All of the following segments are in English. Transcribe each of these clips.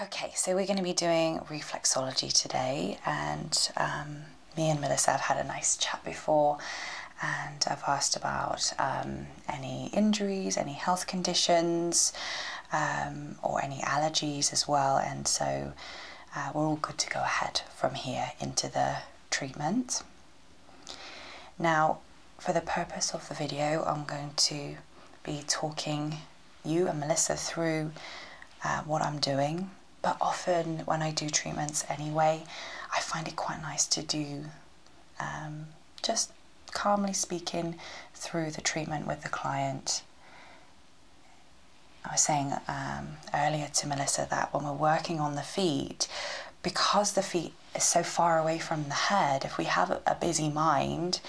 Okay, so we're going to be doing reflexology today, and um, me and Melissa have had a nice chat before, and I've asked about um, any injuries, any health conditions, um, or any allergies as well, and so uh, we're all good to go ahead from here into the treatment. Now, for the purpose of the video, I'm going to be talking you and Melissa through uh, what I'm doing. But often when I do treatments anyway, I find it quite nice to do um, just calmly speaking through the treatment with the client. I was saying um, earlier to Melissa that when we're working on the feet, because the feet is so far away from the head, if we have a busy mind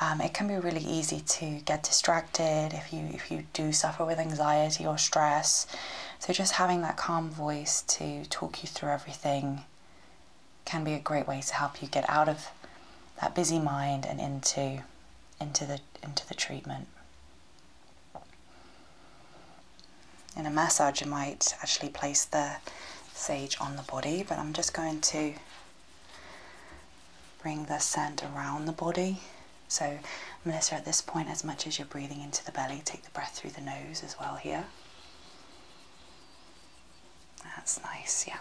um, it can be really easy to get distracted if you if you do suffer with anxiety or stress. So just having that calm voice to talk you through everything can be a great way to help you get out of that busy mind and into into the into the treatment. In a massage, you might actually place the sage on the body, but I'm just going to Bring the scent around the body. So, Melissa, at this point, as much as you're breathing into the belly, take the breath through the nose as well here. That's nice, yeah.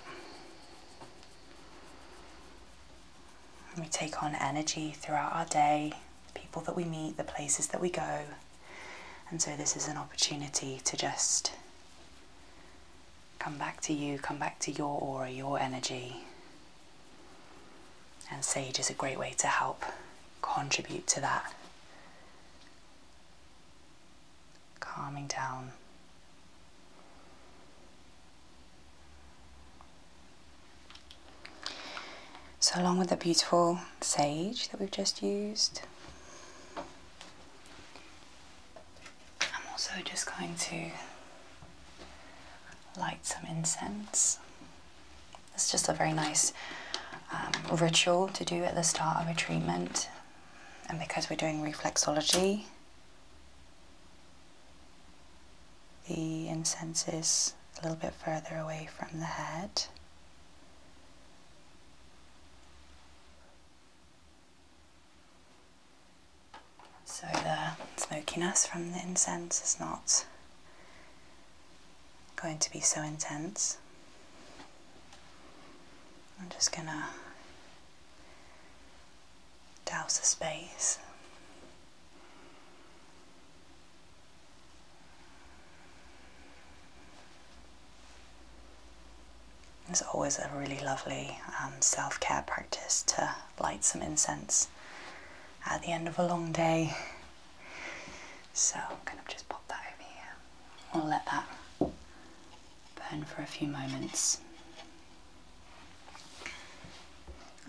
we take on energy throughout our day, the people that we meet, the places that we go. And so, this is an opportunity to just Come back to you, come back to your aura, your energy. And sage is a great way to help contribute to that. Calming down. So, along with the beautiful sage that we've just used, I'm also just going to light some incense. It's just a very nice um, ritual to do at the start of a treatment. And because we're doing reflexology, the incense is a little bit further away from the head. So the smokiness from the incense is not going to be so intense. I'm just gonna douse the space. It's always a really lovely um, self care practice to light some incense at the end of a long day. So I'm going to just pop that over here. I'll let that burn for a few moments.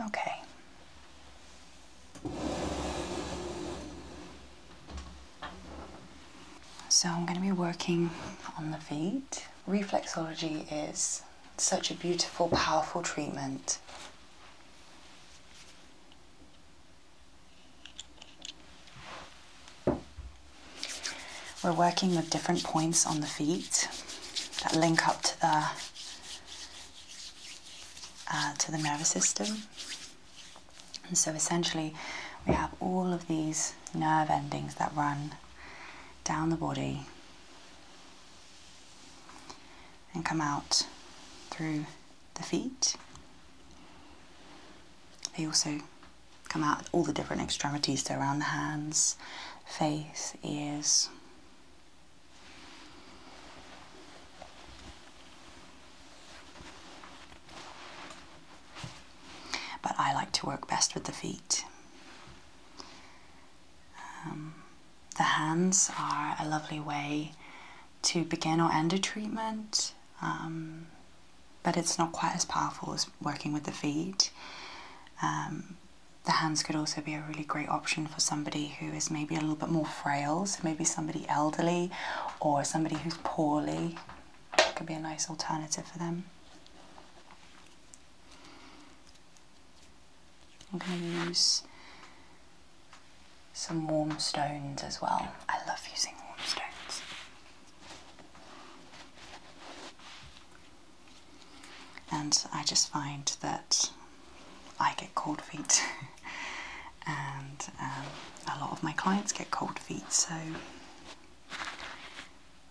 Okay. So I'm going to be working on the feet. Reflexology is such a beautiful, powerful treatment. We're working with different points on the feet that link up to the uh, to the nervous system. And so essentially, we have all of these nerve endings that run down the body and come out through the feet. They also come out all the different extremities, so around the hands, face, ears. But I like to work best with the feet. Um, the hands are a lovely way to begin or end a treatment, um, but it's not quite as powerful as working with the feet. Um, the hands could also be a really great option for somebody who is maybe a little bit more frail, so maybe somebody elderly or somebody who's poorly. could be a nice alternative for them. I'm going to use some warm stones as well. I love using warm stones. And I just find that I get cold feet and um, a lot of my clients get cold feet so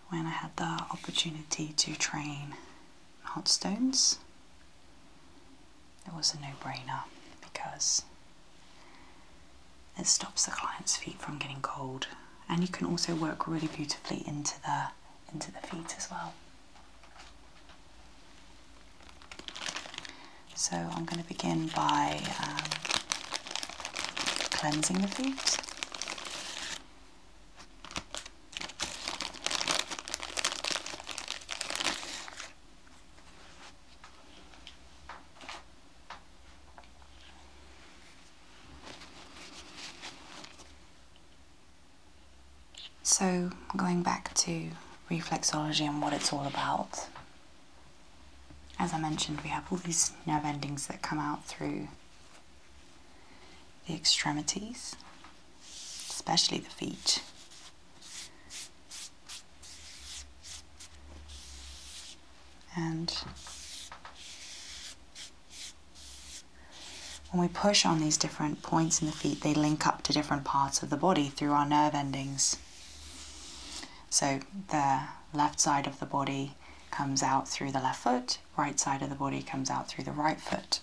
when I had the opportunity to train hot stones, it was a no-brainer because it stops the client's feet from getting cold and you can also work really beautifully into the into the feet as well. So I'm going to begin by um, cleansing the feet. So, going back to reflexology and what it's all about, as I mentioned, we have all these nerve endings that come out through the extremities, especially the feet. And when we push on these different points in the feet, they link up to different parts of the body through our nerve endings. So the left side of the body comes out through the left foot right side of the body comes out through the right foot.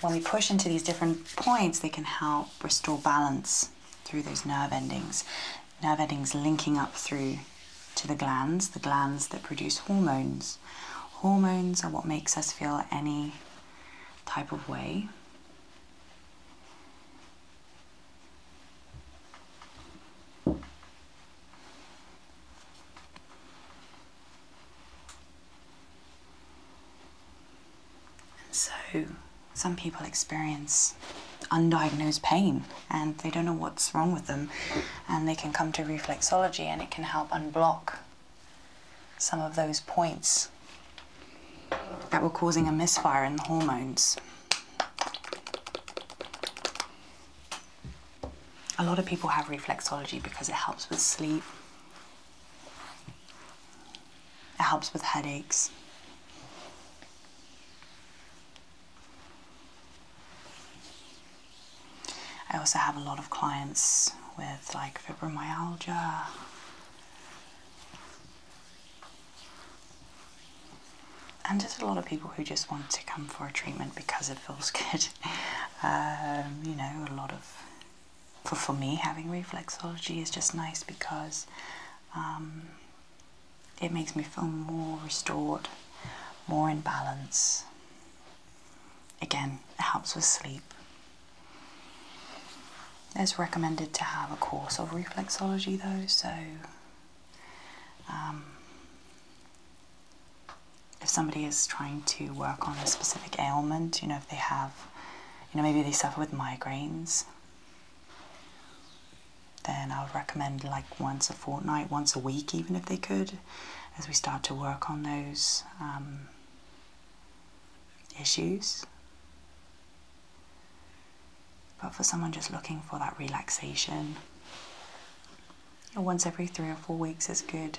When we push into these different points, they can help restore balance through those nerve endings. Nerve endings linking up through to the glands, the glands that produce hormones. Hormones are what makes us feel any type of way so some people experience undiagnosed pain and they don't know what's wrong with them and they can come to reflexology and it can help unblock some of those points that were causing a misfire in the hormones. A lot of people have reflexology because it helps with sleep, it helps with headaches. I also have a lot of clients with like fibromyalgia, and there's a lot of people who just want to come for a treatment because it feels good. Um, you know, a lot of for, for me having reflexology is just nice because um, it makes me feel more restored, more in balance. Again, it helps with sleep. It's recommended to have a course of reflexology though, so um, if somebody is trying to work on a specific ailment, you know, if they have, you know, maybe they suffer with migraines, then I would recommend like once a fortnight, once a week, even if they could, as we start to work on those um, issues. But for someone just looking for that relaxation, once every three or four weeks is good.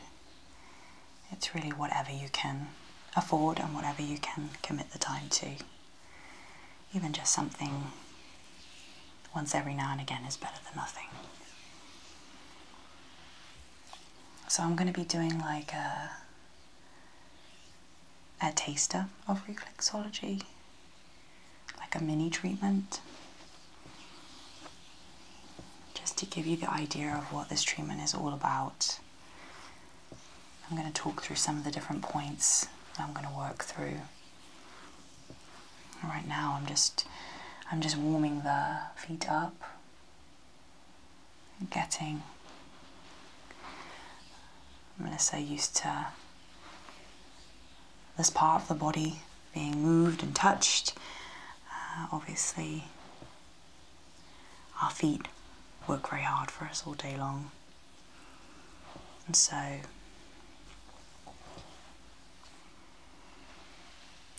It's really whatever you can afford and whatever you can commit the time to. Even just something once every now and again is better than nothing. So I'm going to be doing like a, taster of reflexology like a mini treatment just to give you the idea of what this treatment is all about. I'm going to talk through some of the different points I'm going to work through. Right now I'm just I'm just warming the feet up getting I'm going to say used to this part of the body being moved and touched. Uh, obviously, our feet work very hard for us all day long. And so,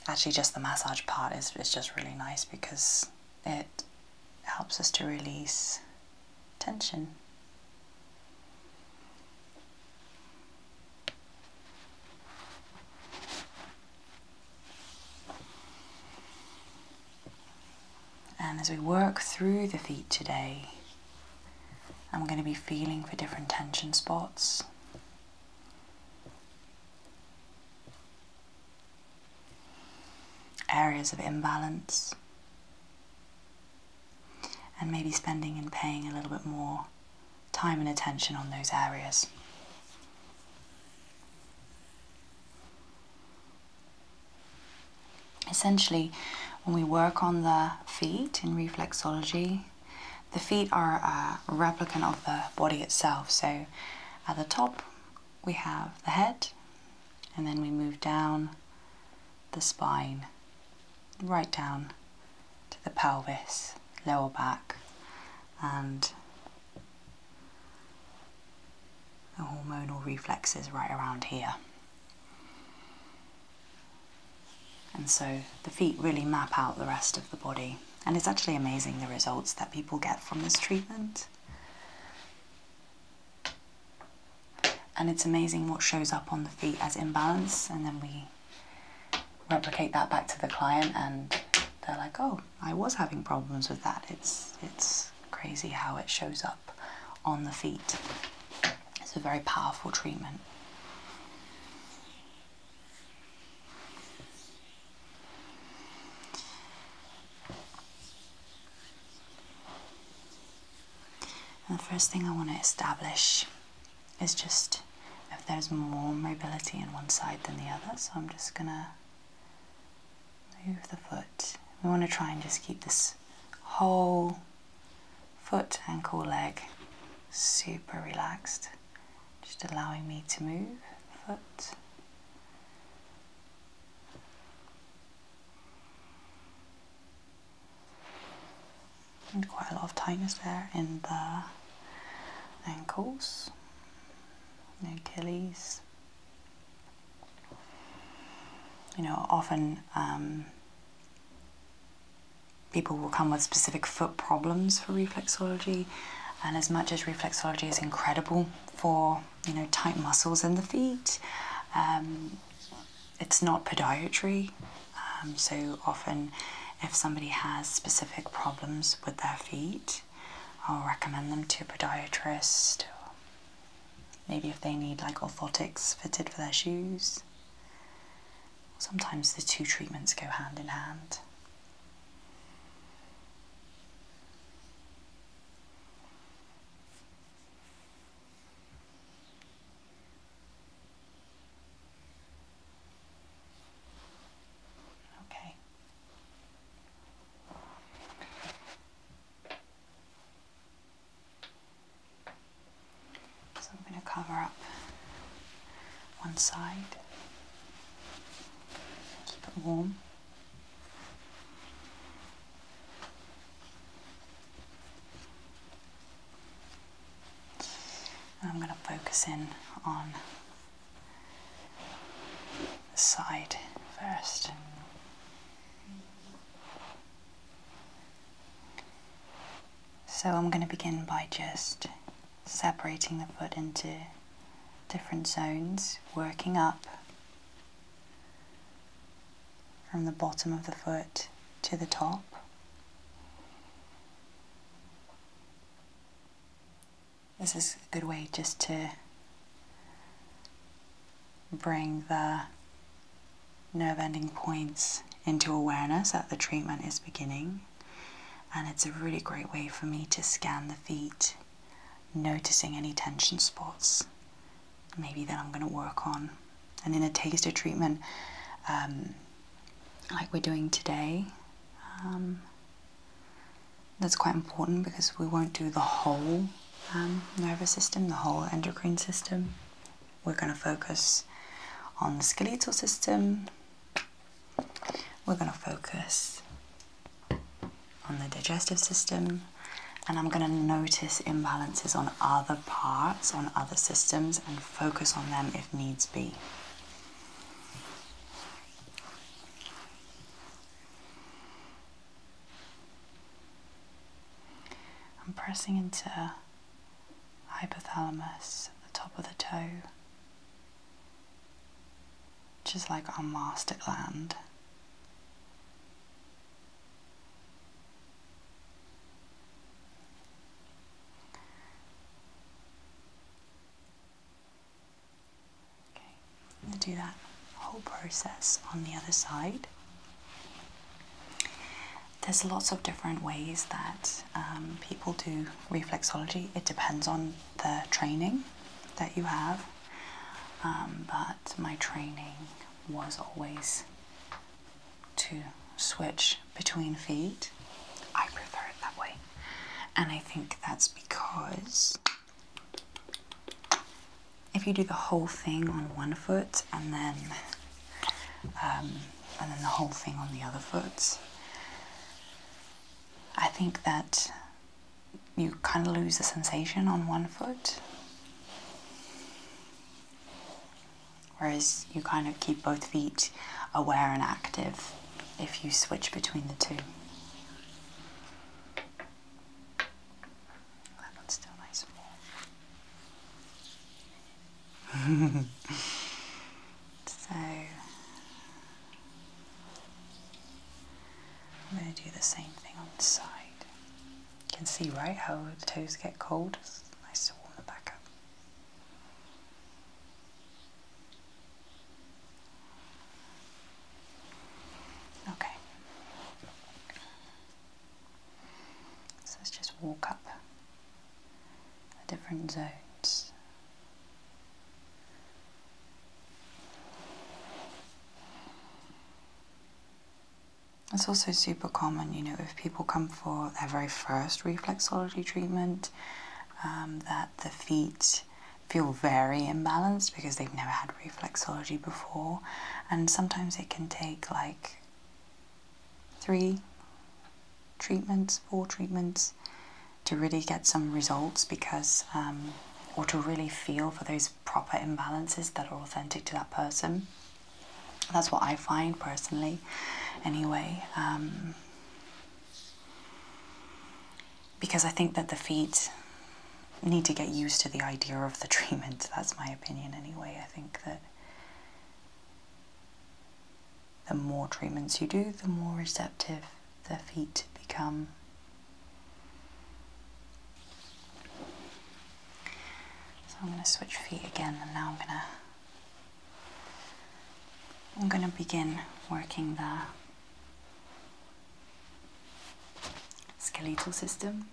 actually, just the massage part is, is just really nice because it helps us to release tension. And as we work through the feet today, I'm going to be feeling for different tension spots. Areas of imbalance, and maybe spending and paying a little bit more time and attention on those areas. Essentially, when we work on the feet in reflexology, the feet are a replicant of the body itself. So at the top, we have the head, and then we move down the spine, right down to the pelvis, lower back, and the hormonal reflexes right around here. And so the feet really map out the rest of the body. And it's actually amazing the results that people get from this treatment. And it's amazing what shows up on the feet as imbalance, and then we replicate that back to the client, and they're like, "Oh, I was having problems with that." It's it's crazy how it shows up on the feet. It's a very powerful treatment the first thing I want to establish is just if there's more mobility in one side than the other. So I'm just going to move the foot. We want to try and just keep this whole foot, ankle, leg super relaxed. Just allowing me to move foot and quite a lot of tightness there in the ankles, the Achilles. You know, often um, people will come with specific foot problems for reflexology, and as much as reflexology is incredible for you know tight muscles in the feet, um, it's not podiatry, um, so often if somebody has specific problems with their feet, I'll recommend them to a podiatrist. Maybe if they need like orthotics fitted for their shoes. Sometimes the two treatments go hand in hand. Okay. So I'm going to cover up one side, keep it warm. I'm going to focus in on the side first. So I'm going to begin by just separating the foot into different zones, working up from the bottom of the foot to the top. This is a good way just to bring the nerve ending points into awareness that the treatment is beginning. And it's a really great way for me to scan the feet, noticing any tension spots, maybe that I'm going to work on and in a taster treatment um, like we're doing today um, that's quite important because we won't do the whole um, nervous system, the whole endocrine system. We're going to focus on the skeletal system. We're going to focus on the digestive system. And I'm going to notice imbalances on other parts, on other systems, and focus on them if needs be. I'm pressing into hypothalamus at the top of the toe, which is like our master gland do that whole process on the other side. There's lots of different ways that um, people do reflexology. It depends on the training that you have, um, but my training was always to switch between feet, I prefer it that way. And I think that's because if you do the whole thing on one foot and then um, and then the whole thing on the other foot, I think that you kind of lose the sensation on one foot whereas you kind of keep both feet aware and active if you switch between the two. That one's still nice so I'm going to do the same thing on the side. You can see, right, how the toes get cold. nice to warm them back up. Okay. So let's just walk up the different zones. It's also super common, you know, if people come for their very first reflexology treatment, um, that the feet feel very imbalanced because they've never had reflexology before, and sometimes it can take like three treatments, four treatments to really get some results because, um, or to really feel for those proper imbalances that are authentic to that person. That's what I find personally, anyway. Um, because I think that the feet need to get used to the idea of the treatment. That's my opinion, anyway. I think that the more treatments you do, the more receptive the feet become. So I'm going to switch feet again, and now I'm going to I'm going to begin working the skeletal system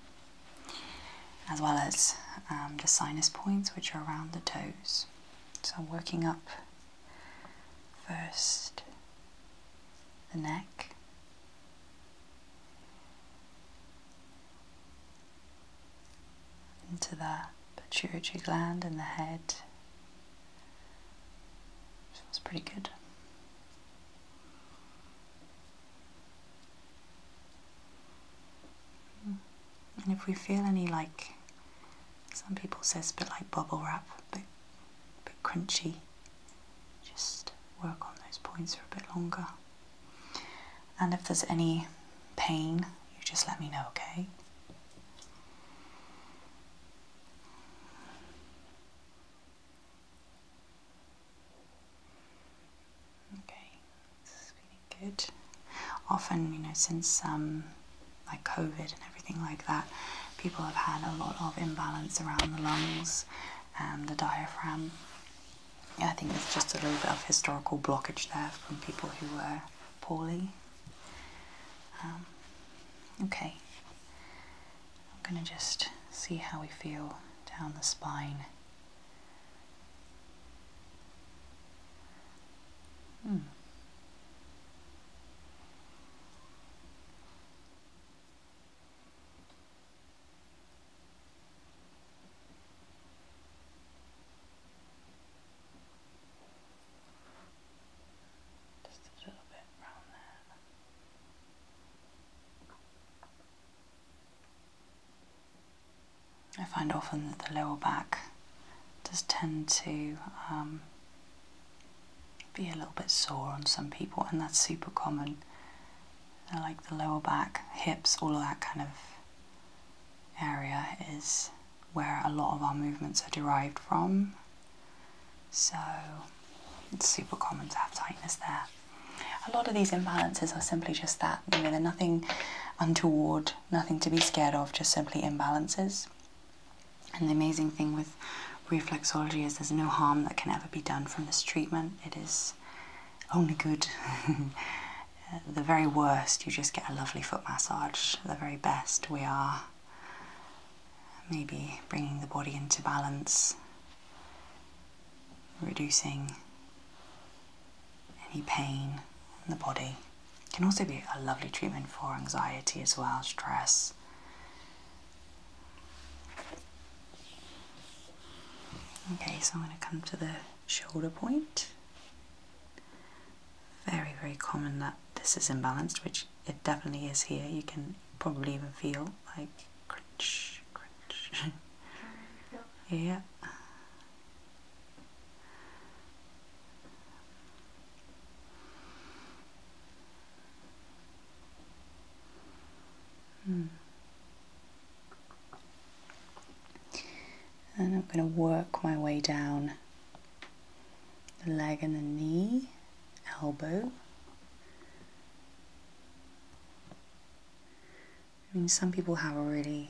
as well as um, the sinus points which are around the toes. So I'm working up first the neck into the pituitary gland in the head. Feels pretty good. And if we feel any like, some people say it's a bit like bubble wrap, but bit crunchy, just work on those points for a bit longer. And if there's any pain, you just let me know, okay? Okay, this is feeling good. Often, you know, since um, like COVID and everything like that, people have had a lot of imbalance around the lungs and the diaphragm. I think there's just a little bit of historical blockage there from people who were poorly. Um, okay, I'm going to just see how we feel down the spine. Hmm. Just a little bit around that. I find often that the lower back does tend to um, be a little bit sore on some people, and that's super common. like the lower back, hips, all of that kind of area is where a lot of our movements are derived from. So it's super common to have tightness there. A lot of these imbalances are simply just that, you know, they're nothing untoward, nothing to be scared of, just simply imbalances. And the amazing thing with reflexology is there's no harm that can ever be done from this treatment. It is only good. the very worst, you just get a lovely foot massage. The very best, we are maybe bringing the body into balance, reducing any pain in the body. It can also be a lovely treatment for anxiety as well, stress. Okay, so I'm going to come to the shoulder point. Very, very common that this is imbalanced, which it definitely is here. You can probably even feel like crunch, crunch. yeah. Hmm and I'm going to work my way down the leg and the knee, elbow. I mean, some people have really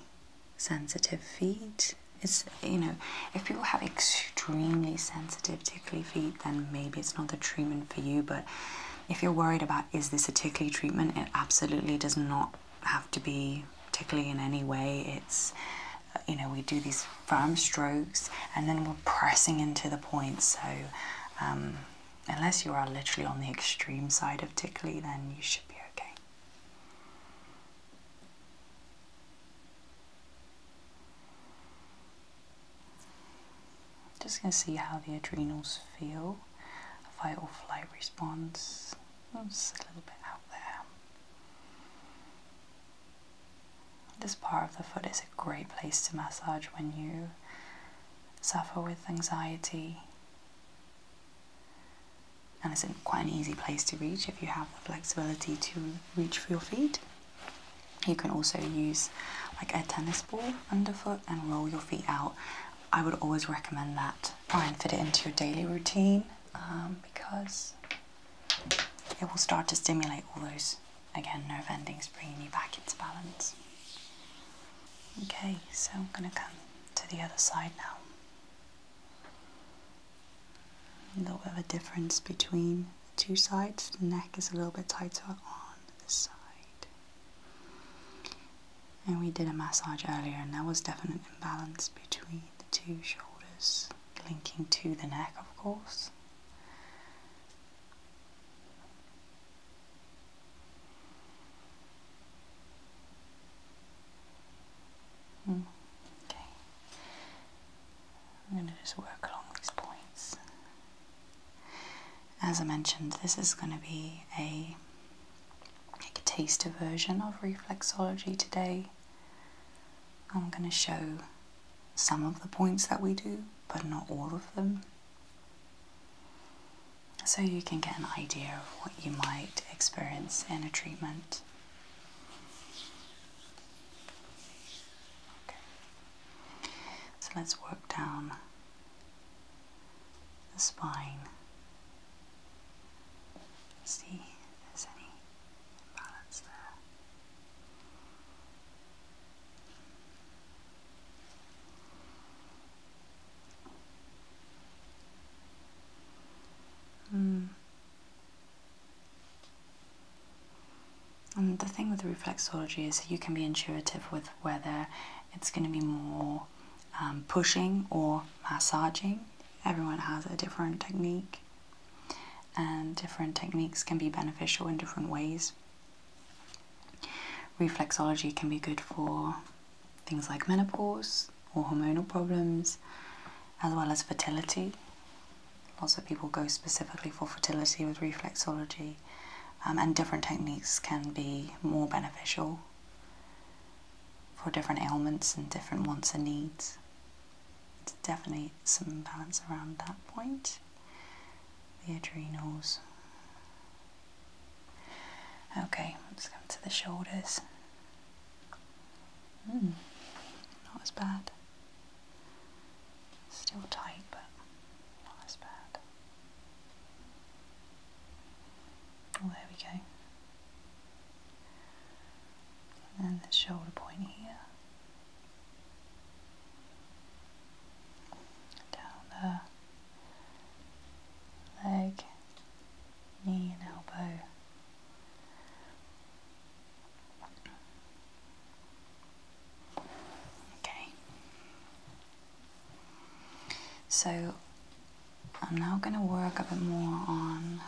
sensitive feet. It's, you know, if people have extremely sensitive tickly feet, then maybe it's not the treatment for you. But if you're worried about is this a tickly treatment, it absolutely does not have to be tickly in any way. It's uh, you know we do these firm strokes and then we're pressing into the points. So um, unless you are literally on the extreme side of tickly, then you should be okay. Just gonna see how the adrenals feel. Fight or flight response. Just a little bit out there. This part of the foot is a great place to massage when you suffer with anxiety. And it's quite an easy place to reach if you have the flexibility to reach for your feet. You can also use like a tennis ball underfoot and roll your feet out. I would always recommend that. Try and fit it into your daily routine um, because it will start to stimulate all those, again, nerve endings, bringing you back into balance. Okay, so I'm going to come to the other side now. A little bit of a difference between the two sides. The neck is a little bit tighter on this side. And we did a massage earlier, and there was definite imbalance between the two shoulders linking to the neck, of course. Hmm, okay, I'm going to just work along these points. As I mentioned, this is going to be a like a taster version of reflexology today. I'm going to show some of the points that we do, but not all of them, so you can get an idea of what you might experience in a treatment. Okay. So let's work down the spine. See if there's any balance hmm. And the thing with reflexology is you can be intuitive with whether it's going to be more um, pushing or massaging. Everyone has a different technique and um, different techniques can be beneficial in different ways. Reflexology can be good for things like menopause or hormonal problems, as well as fertility. Lots of people go specifically for fertility with reflexology, um, and different techniques can be more beneficial for different ailments and different wants and needs definitely some balance around that point. The adrenals. Okay, let's come to the shoulders. Mm, not as bad. Still tight, but not as bad. Oh, there we go. And then the shoulder point here. Down the leg, knee and elbow. Okay. So I'm now going to work a bit more on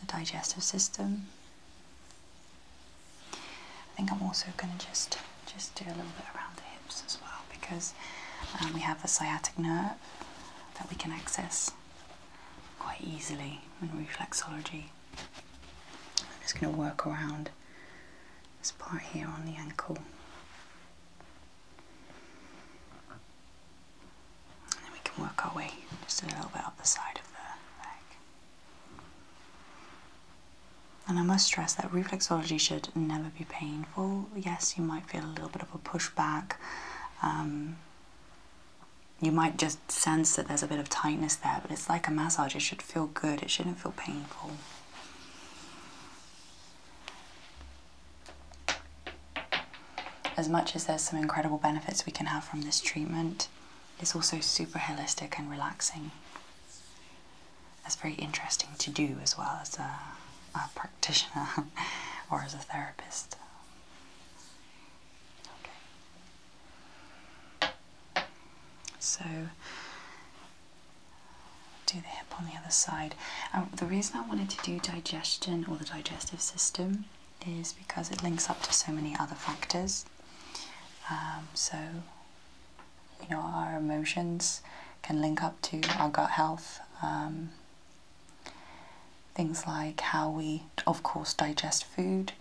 the digestive system. I think I'm also going to just just do a little bit around the hips as well because um, we have the sciatic nerve that we can access quite easily in reflexology. I'm just going to work around this part here on the ankle. And then we can work our way just a little bit up the side of the leg. And I must stress that reflexology should never be painful. Yes, you might feel a little bit of a pushback. Um, you might just sense that there's a bit of tightness there, but it's like a massage. It should feel good, it shouldn't feel painful. As much as there's some incredible benefits we can have from this treatment, it's also super holistic and relaxing. It's very interesting to do as well as a, practitioner or as a therapist. So do the hip on the other side. Um, the reason I wanted to do digestion or the digestive system is because it links up to so many other factors. Um, so, you know, our emotions can link up to our gut health. Um, things like how we, of course, digest food,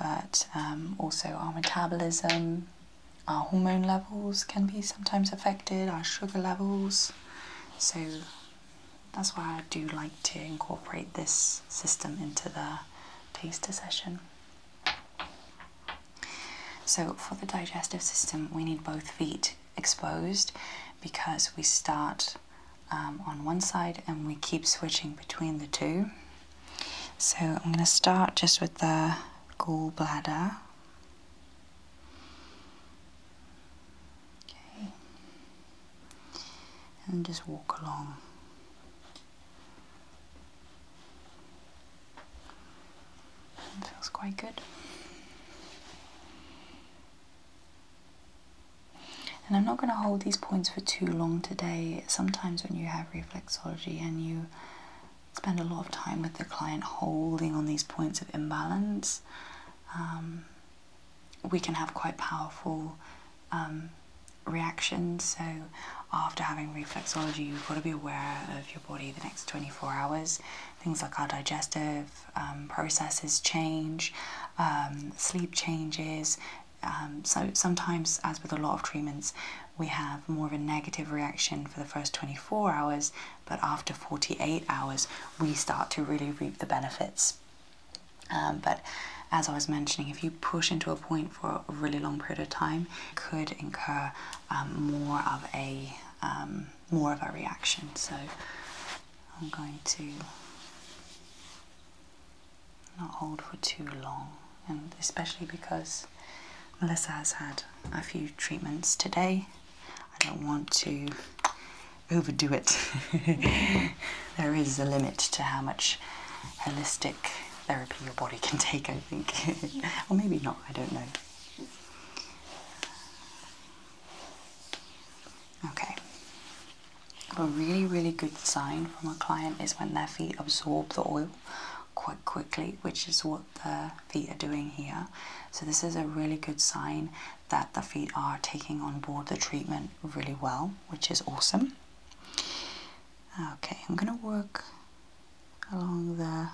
but um, also our metabolism, our hormone levels can be sometimes affected, our sugar levels. So, that's why I do like to incorporate this system into the taster session. So, for the digestive system, we need both feet exposed because we start um, on one side and we keep switching between the two. So, I'm going to start just with the gallbladder. Okay. And just walk along. feels quite good. And I'm not going to hold these points for too long today. Sometimes when you have reflexology and you spend a lot of time with the client holding on these points of imbalance, um, we can have quite powerful um, reactions. So, after having reflexology, you've got to be aware of your body the next 24 hours. Things like our digestive um, processes change, um, sleep changes. so, sometimes, as with a lot of treatments, we have more of a negative reaction for the first 24 hours, but after 48 hours, we start to really reap the benefits. Um, but as I was mentioning, if you push into a point for a really long period of time, could incur um, more of a um, more of a reaction. So I'm going to not hold for too long, and especially because Melissa has had a few treatments today, I don't want to overdo it. there is a limit to how much holistic therapy your body can take, I think. or maybe not, I don't know. Okay. A really, really good sign from a client is when their feet absorb the oil quite quickly, which is what the feet are doing here. So, this is a really good sign that the feet are taking on board the treatment really well which is awesome. Okay, I'm going to work along the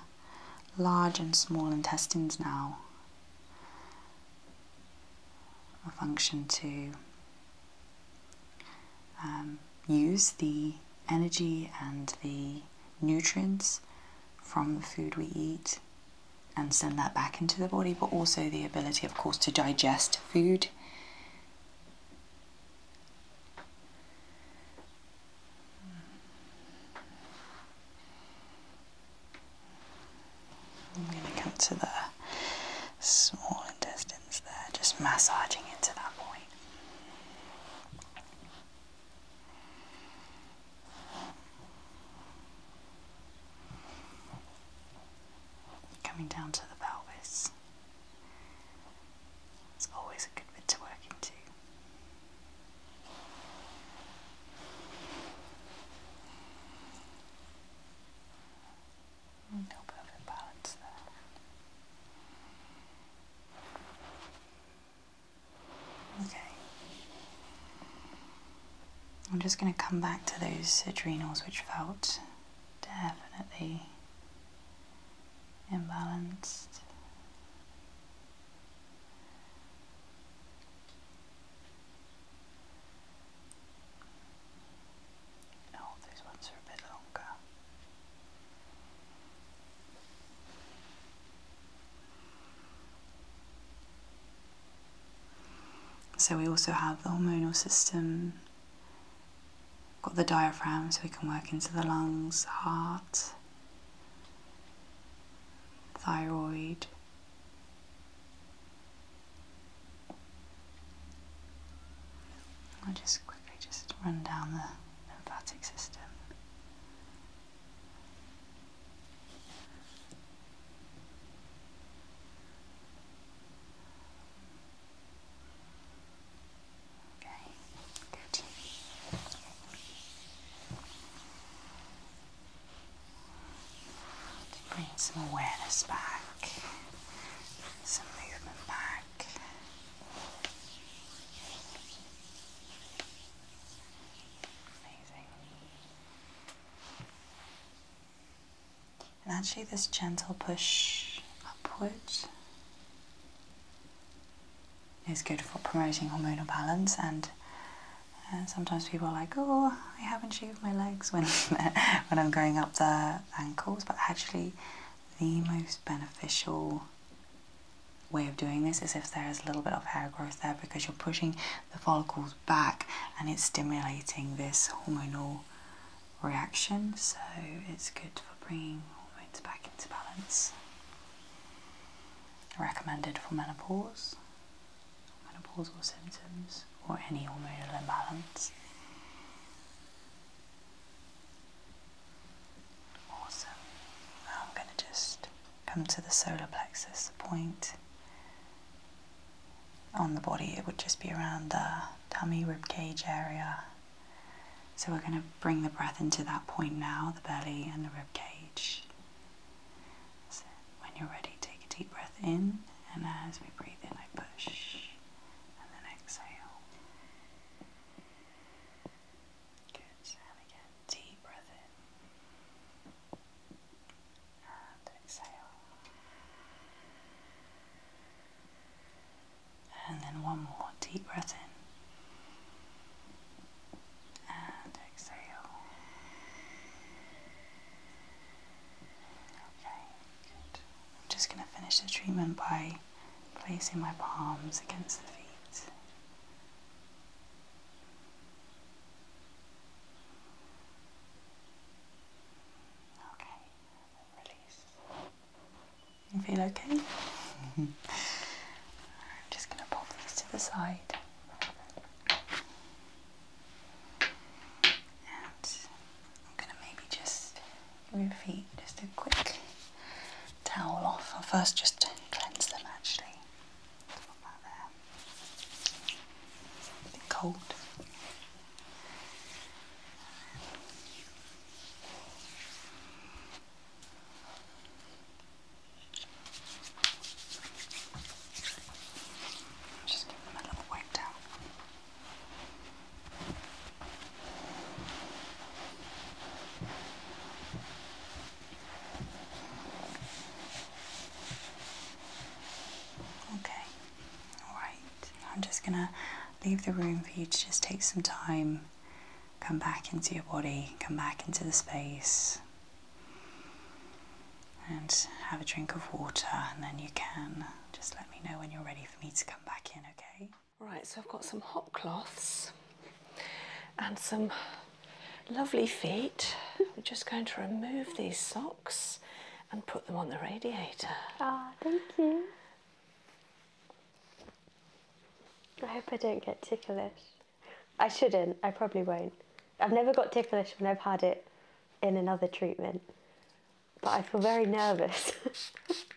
large and small intestines now. A function to um, use the energy and the nutrients from the food we eat and send that back into the body, but also the ability, of course, to digest food I'm going to come to the small intestines there, just massaging into that point coming down to the pelvis. It's always a good bit to work into. A little bit there. Okay. I'm just going to come back to those adrenals which felt definitely imbalanced. Oh, these ones are a bit longer. So we also have the hormonal system Got the diaphragm so we can work into the lungs, heart, thyroid. I'll just quickly just run down the lymphatic system. Okay, good. To bring some awareness back, some movement back. Amazing. And actually this gentle push upwards is good for promoting hormonal balance and uh, sometimes people are like, oh, I haven't shaved my legs when, when I'm going up the ankles, but actually the most beneficial way of doing this is if there is a little bit of hair growth there because you're pushing the follicles back and it's stimulating this hormonal reaction, so it's good for bringing hormones back into balance. Recommended for menopause, menopausal symptoms, or any hormonal imbalance. Awesome. I'm going to just come to the solar plexus point on the body, it would just be around the tummy, rib cage area. So we're going to bring the breath into that point now, the belly and the rib cage. So when you're ready, take a deep breath in, and as we breathe in, I push, and then exhale. Good, and again, deep breath in, and exhale. And then one more deep breath in and exhale. Okay, good. I'm just going to finish the treatment by placing my palms against the feet. Okay, you feel okay? Mm-hmm. I'm just going to pop these to the side and I'm going to maybe just give your feet just a quick towel off. I'll first just cleanse them actually. A bit cold. Just give them a little wipe down. Okay, alright. I'm just gonna leave the room for you to just take some time, come back into your body, come back into the space, and have a drink of water. And then you can just let me know when you're ready for me to come back in, okay? Right, so I've got some hot cloths and some lovely feet. I'm just going to remove these socks and put them on the radiator. Ah, oh, thank you. I hope I don't get ticklish. I shouldn't, I probably won't. I've never got ticklish when I've had it in another treatment, but I feel very nervous.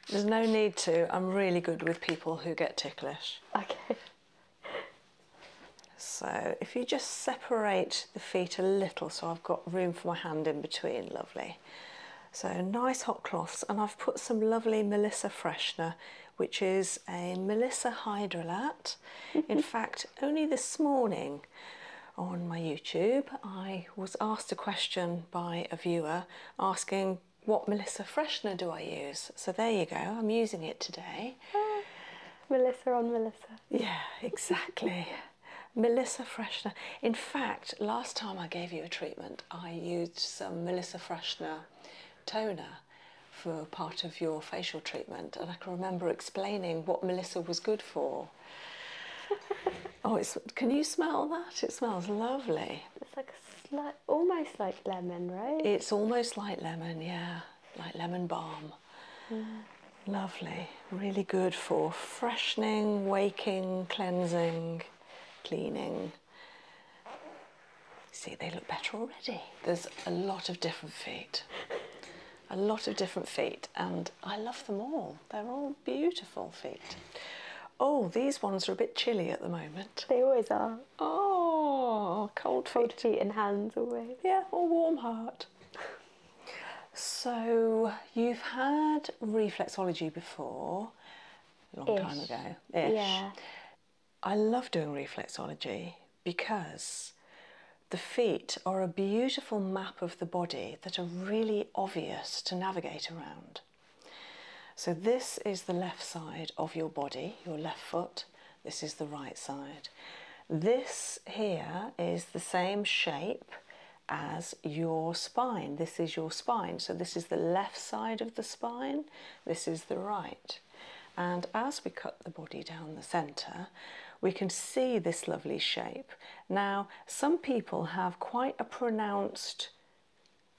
There's no need to. I'm really good with people who get ticklish. Okay. So if you just separate the feet a little so I've got room for my hand in between, lovely. So nice hot cloths, and I've put some lovely Melissa freshener, which is a Melissa Hydrolat. In fact, only this morning on my YouTube, I was asked a question by a viewer asking what Melissa freshener do I use. So there you go, I'm using it today. Ah, Melissa on Melissa. Yeah, exactly. Melissa Freshner. In fact, last time I gave you a treatment, I used some Melissa Freshner toner for part of your facial treatment, and I can remember explaining what Melissa was good for. oh, it's, can you smell that? It smells lovely. It's like almost like lemon, right? It's almost like lemon, yeah, like lemon balm. Mm. Lovely, really good for freshening, waking, cleansing cleaning. See, they look better already. There's a lot of different feet, a lot of different feet, and I love them all. They're all beautiful feet. Oh, these ones are a bit chilly at the moment. They always are. Oh, cold feet. Cold feet and hands always. Yeah, or warm heart. so, you've had reflexology before a long time ago. Ish. I love doing reflexology because the feet are a beautiful map of the body that are really obvious to navigate around. So, this is the left side of your body, your left foot, this is the right side. This here is the same shape as your spine. This is your spine. So, this is the left side of the spine, this is the right. And as we cut the body down the centre, we can see this lovely shape. Now, some people have quite a pronounced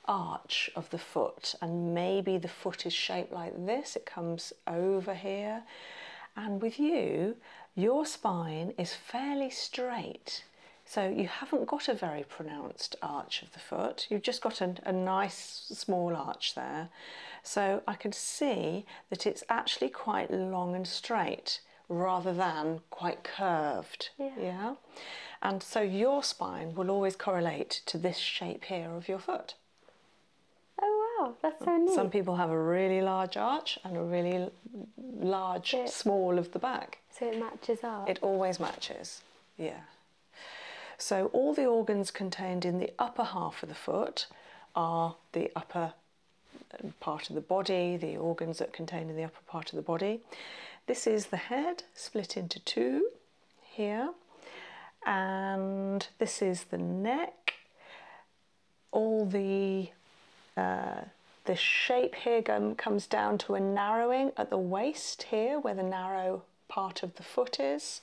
arch of the foot, and maybe the foot is shaped like this, it comes over here. And with you, your spine is fairly straight. So you haven't got a very pronounced arch of the foot, you've just got an, a nice small arch there. So I can see that it's actually quite long and straight rather than quite curved. Yeah. And so your spine will always correlate to this shape here of your foot. Oh wow, that's so neat. Some people have a really large arch and a really large, small of the back. So it matches up? It always matches, yeah. So all the organs contained in the upper half of the foot are the upper uh, part of the body, the organs that contain in the upper part of the body. This is the head split into two here, and this is the neck. All the uh, the shape here comes down to a narrowing at the waist here where the narrow part of the foot is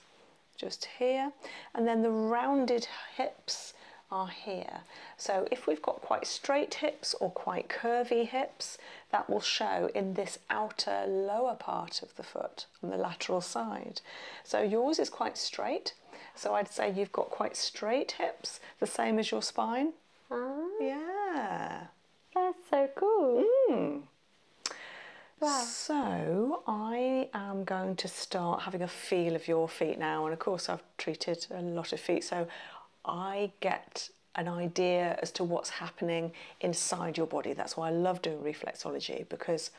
just here and then the rounded hips are here so if we've got quite straight hips or quite curvy hips that will show in this outer lower part of the foot on the lateral side so yours is quite straight so I'd say you've got quite straight hips the same as your spine ah. yeah that's so cool. Mm. So I am going to start having a feel of your feet now, and of course I've treated a lot of feet, so I get an idea as to what's happening inside your body. That's why I love doing reflexology because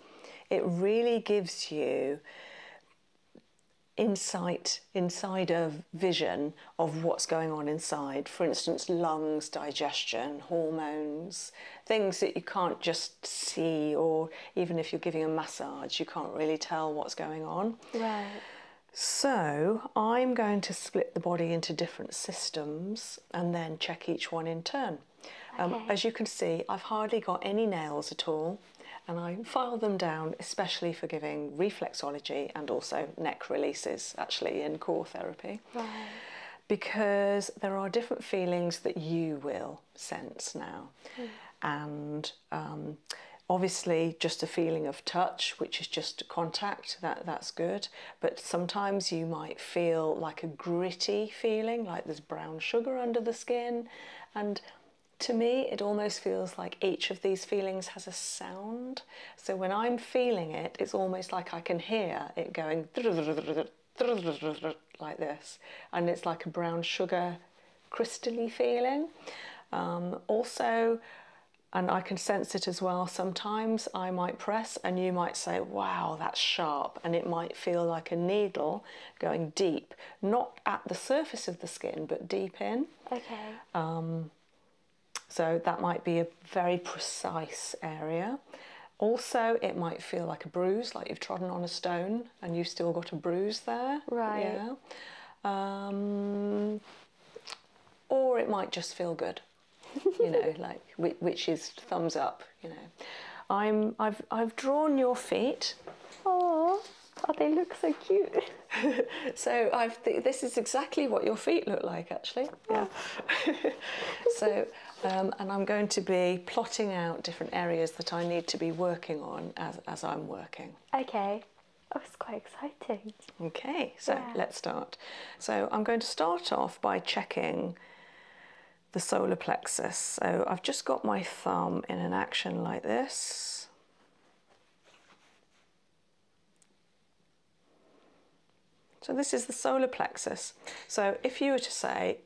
it really gives you insight insider vision of what's going on inside. For instance, lungs, digestion, hormones, things that you can't just see, or even if you're giving a massage, you can't really tell what's going on. Right. So, I'm going to split the body into different systems and then check each one in turn. Um, okay. as you can see, I've hardly got any nails at all and I file them down especially for giving reflexology and also neck releases actually in core therapy. Because there are different feelings that you will sense now. Hmm. And um, obviously just a feeling of touch which is just contact that that's good but sometimes you might feel like a gritty feeling like there's brown sugar under the skin and to me it almost feels like each of these feelings has a sound so when I'm feeling it, it's almost like I can hear it going like this, and it's like a brown sugar crystally feeling. Um, also, and I can sense it as well. Sometimes I might press and you might say, wow, that's sharp. And it might feel like a needle going deep, not at the surface of the skin, but deep in. Okay. Um, so that might be a very precise area. Also, it might feel like a bruise, like you've trodden on a stone and you've still got a bruise there. Right. Yeah. Um, or it might just feel good, you know, like which is thumbs up, you know. I'm I've I've drawn your feet. oh, they look so cute. so this is exactly what your feet look like actually. Oh. Yeah. so um, and I'm going to be plotting out different areas that I need to be working on as as I'm working. Okay. Oh, it's quite exciting. Okay, so let's start. So I'm going to start off by checking the solar plexus. So I've just got my thumb in an action like this. So this is the solar plexus. So if you were to say,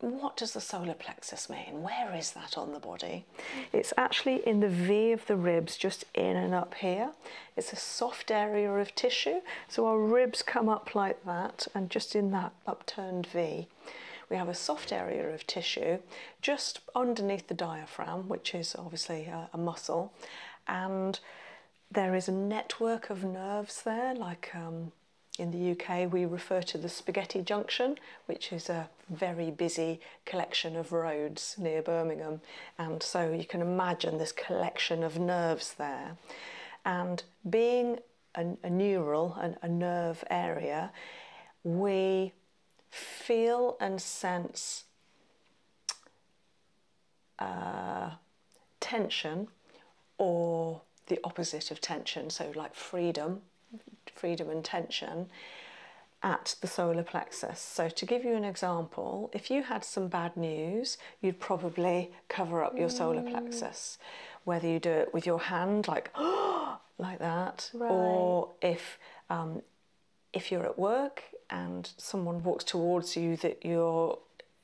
what does the solar plexus mean? Where is that on the body? It's actually in the V of the ribs, just in and up here. It's a soft area of tissue. So our ribs come up like that and just in that upturned V. We have a soft area of tissue just underneath the diaphragm, which is obviously a, muscle, and there is a network of nerves there, like um, in the UK we refer to the Spaghetti Junction, which is a very busy collection of roads near Birmingham, and so you can imagine this collection of nerves there. And being a, neural, a, a nerve area, we feel and sense uh, tension or the opposite of tension, so like freedom, freedom and tension at the solar plexus. So, to give you an example, if you had some bad news, you'd probably cover up your solar mm. plexus, whether you do it with your hand, like like that, or if um, if you're at work and someone walks towards you that you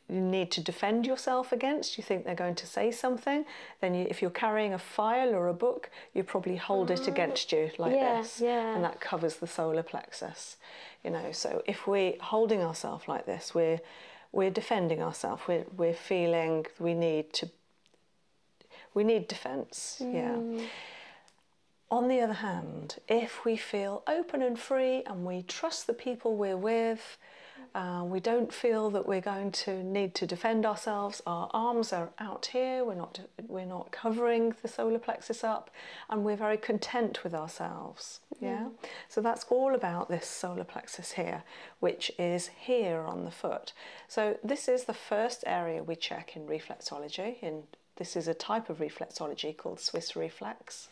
need to defend yourself against, you think they're going to say something, then if you're carrying a file or a book, you probably hold it against you like this. And that covers the solar plexus. You know, so if we're holding ourselves like this, we're we're defending ourselves. We're we're feeling we need to we need defense. Yeah. Mm. On the other hand, if we feel open and free and we trust the people we're with, uh, we don't feel that we're going to need to defend ourselves. Our arms are out here. We're not. We're not covering the solar plexus up, and we're very content with ourselves. Yeah. So that's all about this solar plexus here, which is here on the foot. So this is the first area we check in reflexology in this is a type of reflexology called Swiss reflex.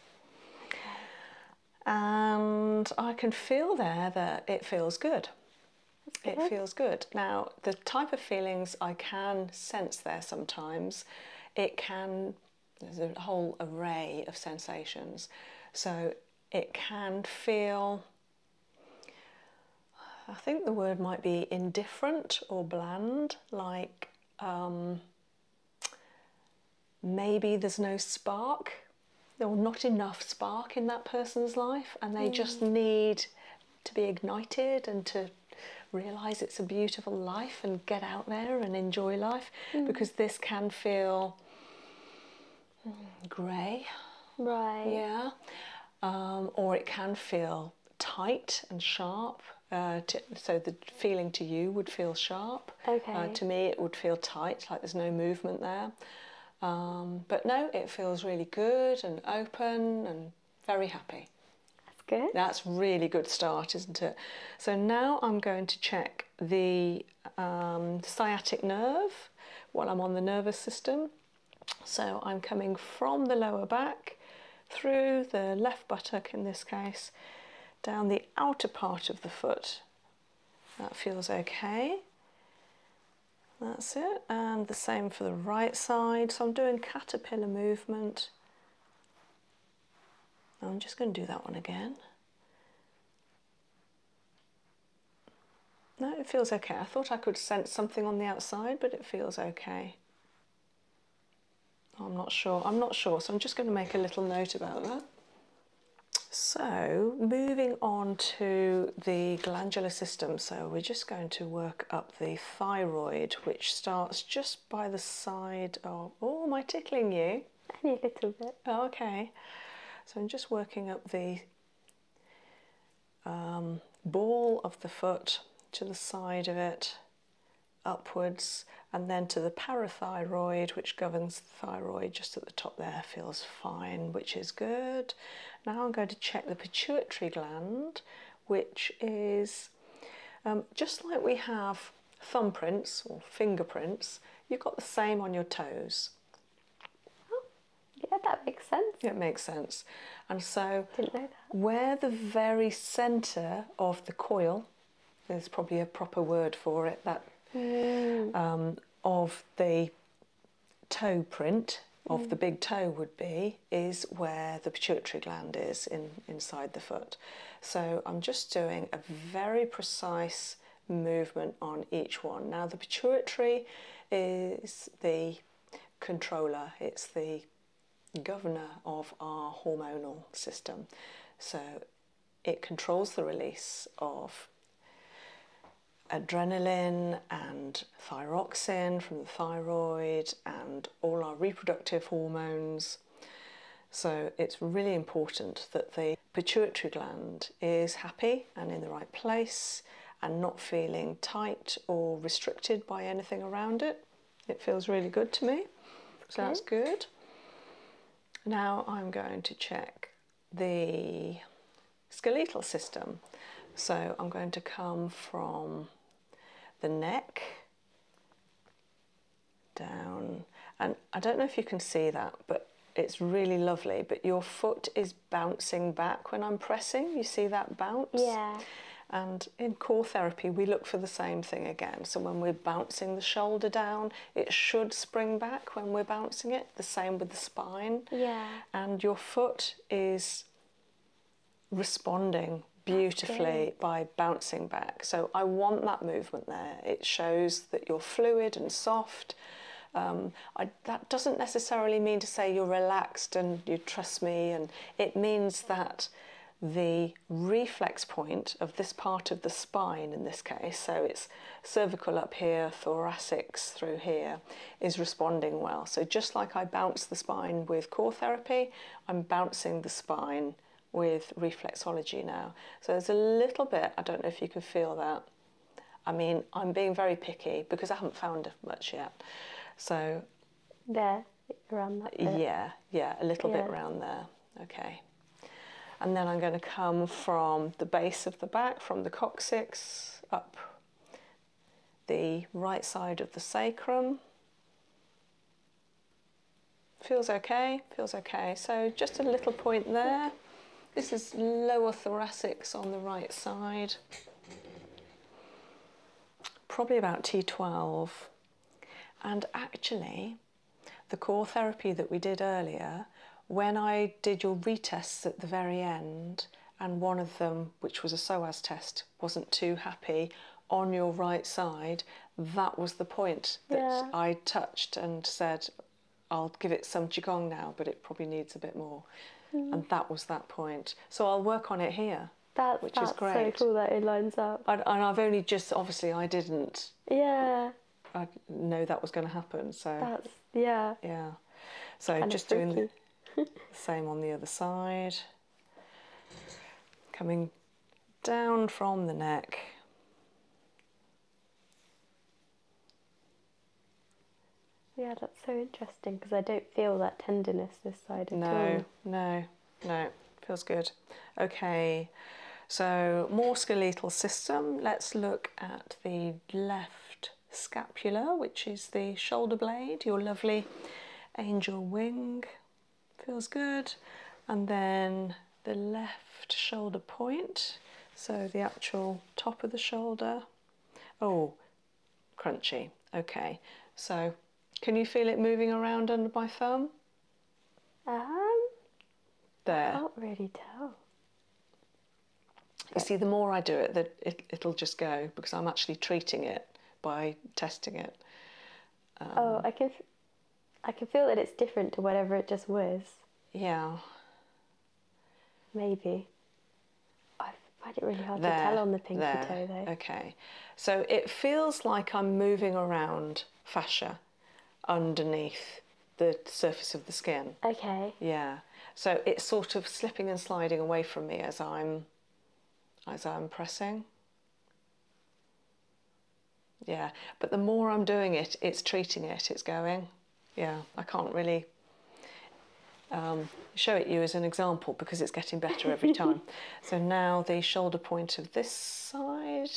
And I can feel there that it feels good. It feels good. Now, the type of feelings I can sense there sometimes, it can, there's a whole array of sensations. So it can feel, I think the word might be indifferent or bland, like um, maybe there's no spark or not enough spark in that person's life and they just hmm. need to be ignited and to realize it's a beautiful life and get out there and enjoy life hmm. because this can feel hmm, grey right yeah um, or it can feel tight and sharp uh, so the feeling to you would feel sharp. Uh, okay. to me, it would feel tight, like there's no movement there. Um, but no, it feels really good and open and very happy. That's good. That's really good start, isn't it? So now I'm going to check the um, sciatic nerve while I'm on the nervous system. So I'm coming from the lower back through the left buttock in this case, down the outer part of the foot. That feels okay. That's it, and the same for the right side. So I'm doing caterpillar movement. I'm just going to do that one again. No, it feels okay. I thought I could sense something on the outside, but it feels okay. Oh, I'm not sure. I'm not sure. So I'm just going to make a little note about that. So moving on to the glandular system. So we're just going to work up the thyroid, which starts just by the side of. Oh, am I tickling you? Only a little bit. Oh, okay. So I'm just working up the um, ball of the foot to the side of it upwards and then to the parathyroid which governs the thyroid just at the top there feels fine which is good now i'm going to check the pituitary gland which is um, just like we have thumbprints or fingerprints you've got the same on your toes oh, yeah that makes sense it makes sense and so where the very center of the coil there's probably a proper word for it, that mm. um, of the toe print of the mm. big toe would be is where the pituitary gland is in inside the foot. So I'm just doing a very precise movement on each one. Now the pituitary is the controller, it's the governor of our hormonal system. So it controls the release of adrenaline and thyroxin from the thyroid and all our reproductive hormones. So it's really important that the pituitary gland is happy and in the right place and not feeling tight or restricted by anything around it. It feels really good to me, Sounds good. Now I'm going to check the skeletal system. So I'm going to come from the neck down, and I don't know if you can see that, but it's really lovely. But your foot is bouncing back when I'm pressing. You see that bounce? Yeah. And in core therapy, we look for the same thing again. So when we're bouncing the shoulder down, it should spring back when we're bouncing it. The same with the spine. Yeah. And your foot is responding beautifully by bouncing back. So I want that movement there. It shows that you're fluid and soft. Um, that doesn't necessarily mean to say you're relaxed and you trust me, and it means that the reflex point of this part of the spine in this case, so it's cervical up here, thoracics through here, is responding well. So just like I bounce the spine with core therapy, I'm bouncing the spine with reflexology now. So there's a little bit, I don't know if you can feel that. I mean, I'm being very picky because I haven't found much yet. So there, around that Yeah, yeah, a little bit around there. Okay. And then I'm going to come from the base of the back, from the coccyx, up the right side of the sacrum. Feels okay, feels okay. So just a little point there. This is lower thoracics on the right side. Probably about T12. And actually, the core therapy that we did earlier, when I did your retests at the very end, and one of them, which was a soas test, wasn't too happy on your right side, that was the point that I touched and said, I'll give it some jigong now, but it probably needs a bit more. Mm. And that was that point. So I'll work on it here. That, which that's is great. so cool that it lines up. and I've only just, obviously, I didn't. Yeah. I know that was going to happen. So yeah. Yeah. So just doing the, same on the other side. Coming down from the neck. Yeah, that's so interesting because I don't feel that tenderness this side No, no, no. Feels good. Okay, so more skeletal system. Let's look at the left scapula, which is the shoulder blade, your lovely angel wing. Feels good. And then the left shoulder point, so the actual top of the shoulder. Oh, crunchy. Okay, so can you feel it moving around under my thumb? Um, there. I can't really tell. You see, the more I do it, the, it, it'll just go because I'm actually treating it by testing it. Um, oh, I can, I can feel that it's different to whatever it just was. Yeah. Maybe. I find it really hard to tell on the pinky toe, though. Okay. So it feels like I'm moving around fascia underneath the surface of the skin. Okay. Yeah. So it's sort of slipping and sliding away from me as I'm as I'm pressing. Yeah, but the more I'm doing it, it's treating it, it's going. Yeah, I can't really um, show it you as an example because it's getting better every time. so now the shoulder point of this side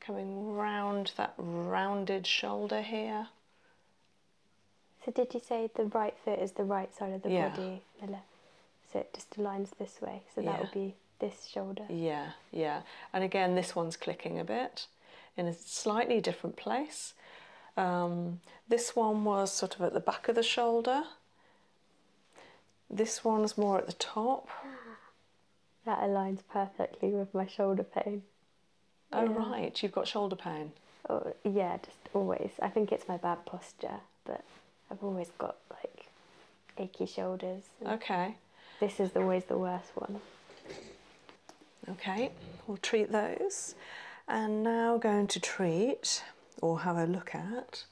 coming round that rounded shoulder here. So did you say the right foot is the right side of the body, the So it just aligns this way. So that would be this shoulder. Yeah, yeah. And again, this one's clicking a bit in a slightly different place. Um, this one was sort of at the back of the shoulder. This one's more at the top. That aligns perfectly with my shoulder pain. Oh, right, you've got shoulder pain. Oh, yeah, just always. I think it's my bad posture, but I've always got like achy shoulders. Okay. This is always the worst one. Okay, we'll treat those. And now going to treat or have a look at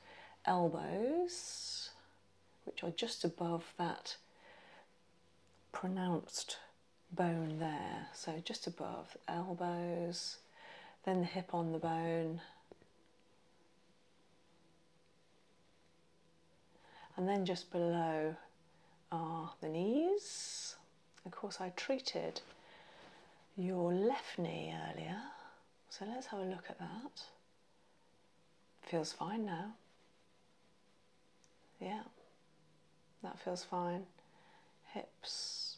elbows, which are just above that pronounced bone there, so just above the elbows, then the hip on the bone, and then just below are the knees. Of course, I treated your left knee earlier, so let's have a look at that. Feels fine now. Yeah, that feels fine. Hips.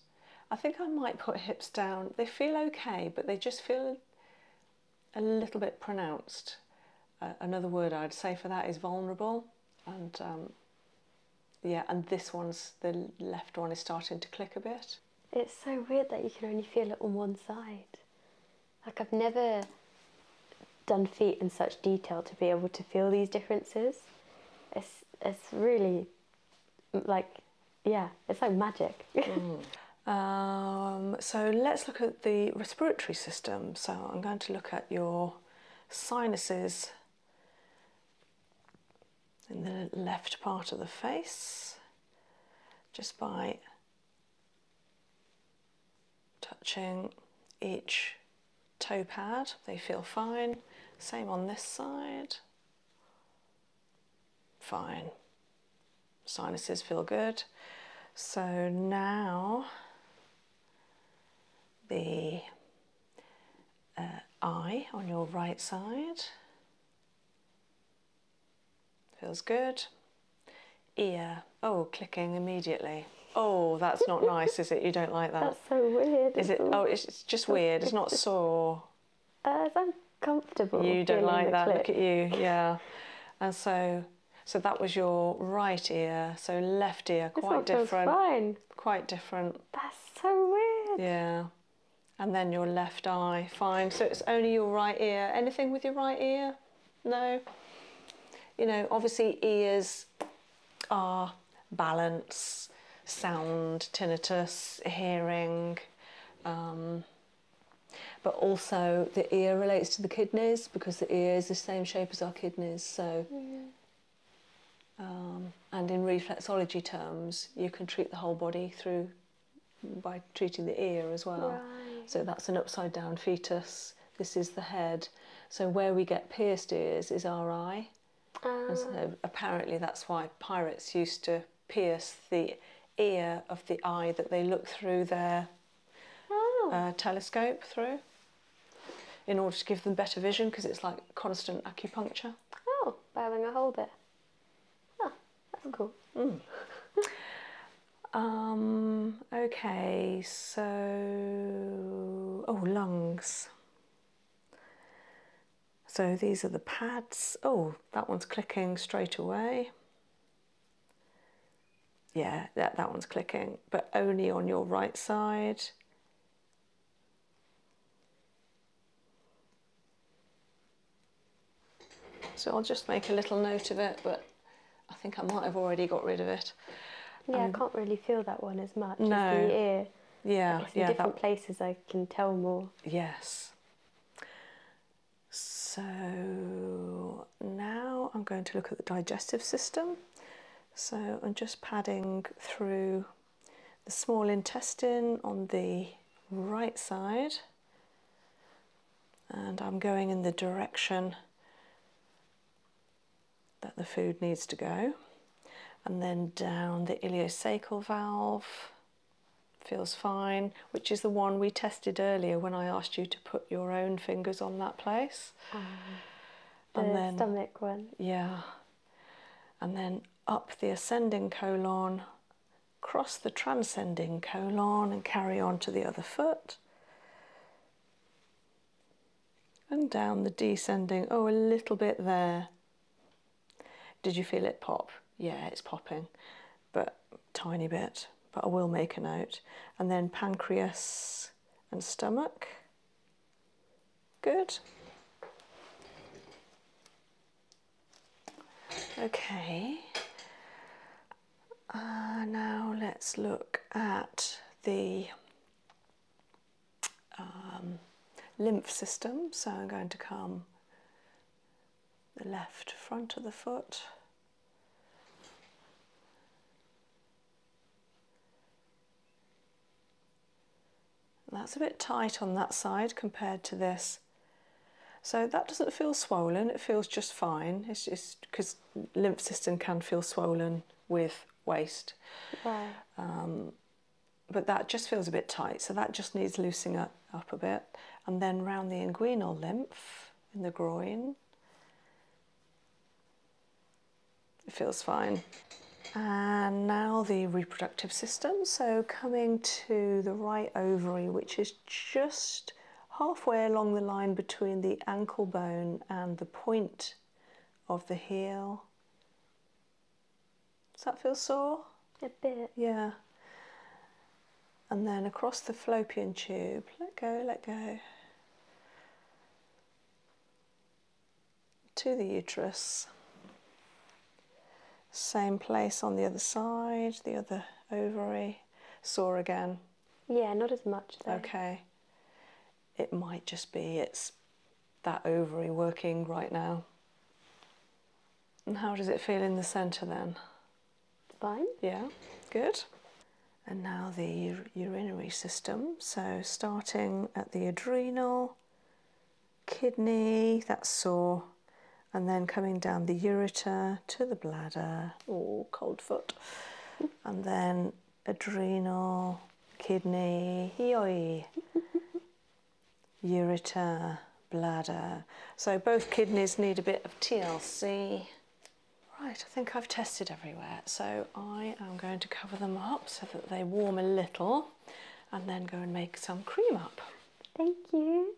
I think I might put hips down. They feel okay, but they just feel a little bit pronounced. another word I'd say for that is vulnerable. And um, yeah, and this one's, the left one is starting to click a bit. It's so weird that you can only feel it on one side. Like I've never done feet in such detail to be able to feel these differences. It's it's really like yeah, it's like magic. Mm. Um, so let's look at the respiratory system. So I'm going to look at your sinuses in the left part of the face just by touching each toe pad, they feel fine. Same on this side, fine. Sinuses feel good. So now the uh, eye on your right side feels good ear. Oh, clicking immediately. Oh, that's not nice, is it? You don't like that. That's so weird. Is it? Oh, it's, it's just weird. It's not sore. Uh, it's uncomfortable. You don't like that. Look at you. Yeah. And so, so that was your right ear. So left ear, quite different. Fine. Quite different. That's so weird. Yeah. And then your left eye, fine. So it's only your right ear. Anything with your right ear? No. You know, obviously ears are balance, sound, tinnitus, hearing, um, but also the ear relates to the kidneys because the ear is the same shape as our kidneys. So, um, and in reflexology terms, you can treat the whole body through by treating the ear as well. So that's an upside down fetus. This is the head. So where we get pierced ears is our eye. So ah. apparently that's why pirates used to pierce the ear of the eye that they look through their oh. uh, telescope through in order to give them better vision because it's like constant acupuncture. Oh, by having a hole there. Ah, that's cool. Hmm. Um, okay, so, oh, lungs. So these are the pads. Oh, that one's clicking straight away. Yeah, that, that one's clicking, but only on your right side. So I'll just make a little note of it, but I think I might have already got rid of it. Yeah, I um, can't really feel that one as much no. Yeah, yeah. In different places, I can tell more. Yes. So now I'm going to look at the digestive system. So I'm just padding through the small intestine on the right side, and I'm going in the direction that the food needs to go. And then down the iliocecal valve feels fine, which is the one we tested earlier when I asked you to put your own fingers on that place. Um, the stomach one. Yeah. And then up the ascending colon, cross the transcending colon, and carry on to the other foot and down the descending, oh, a little bit there. Did you feel it pop? Yeah, it's popping, but tiny bit, but I will make a note. And then pancreas and stomach. Good. Okay. Uh, now let's look at the um, lymph system. So I'm going to come the left front of the foot. that's a bit tight on that side compared to this. So that doesn't feel swollen, it feels just fine. It's just because lymph system can feel swollen with waist. Um, but that just feels a bit tight, so that just needs loosening up a bit. And then round the inguinal lymph in the groin. It feels fine. And now the reproductive system. So coming to the right ovary, which is just halfway along the line between the ankle bone and the point of the heel. Does that feel sore? A bit. Yeah. And then across the fallopian tube, let go, let go. To the uterus. Same place on the other side, the other ovary, sore again. Yeah, not as much though. Okay. It might just be it's that ovary working right now. And how does it feel in the centre then? Fine. Yeah, good. And now the urinary system. So starting at the adrenal, kidney, that's sore, and then coming down the ureter to the bladder. Oh, cold foot. And then adrenal, kidney, yoi, ureter, bladder. So both kidneys need a bit of TLC. Right, I think I've tested everywhere. So I am going to cover them up so that they warm a little and then go and make some cream up. Thank you.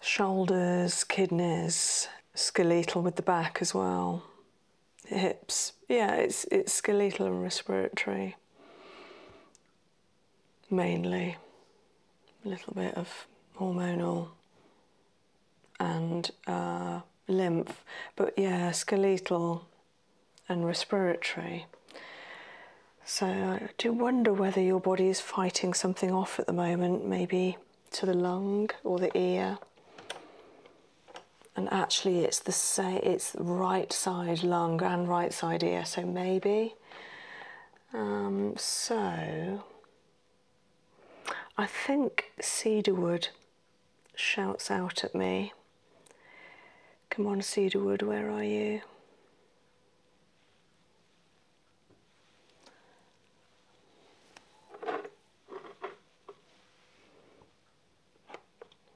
Shoulders, kidneys, skeletal with the back as well hips. Yeah, it's it's skeletal and respiratory mainly. A little bit of hormonal and uh, lymph, but yeah, skeletal and respiratory. So I do wonder whether your body is fighting something off at the moment, maybe to the lung or the ear and actually it's the same it's right side lung and right side ear so maybe um, so i think cedarwood shouts out at me come on cedarwood where are you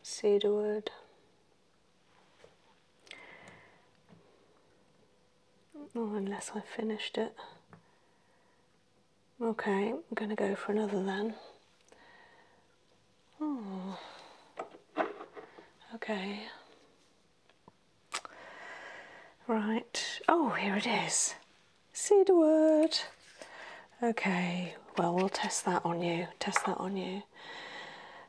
Say the word. Oh, unless I finished it. Okay, I'm going to go for another then. Oh. Okay. Right. Oh, here it is cedarwood. Okay, well, we'll test that on you. Test that on you.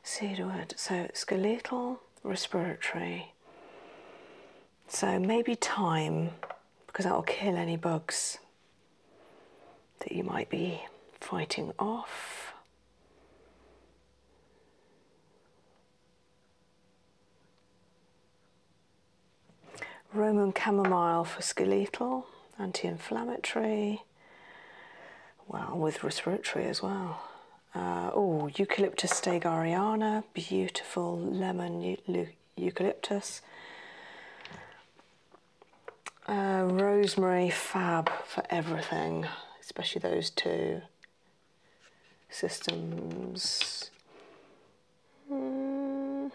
Cedarwood. So skeletal, respiratory. So maybe time, because that will kill any bugs that you might be fighting off. Roman chamomile for skeletal, anti inflammatory, well, with respiratory as well. oh, Eucalyptus stegariana, beautiful lemon eucalyptus. Uh, rosemary, fab for everything, especially those two systems. Mm.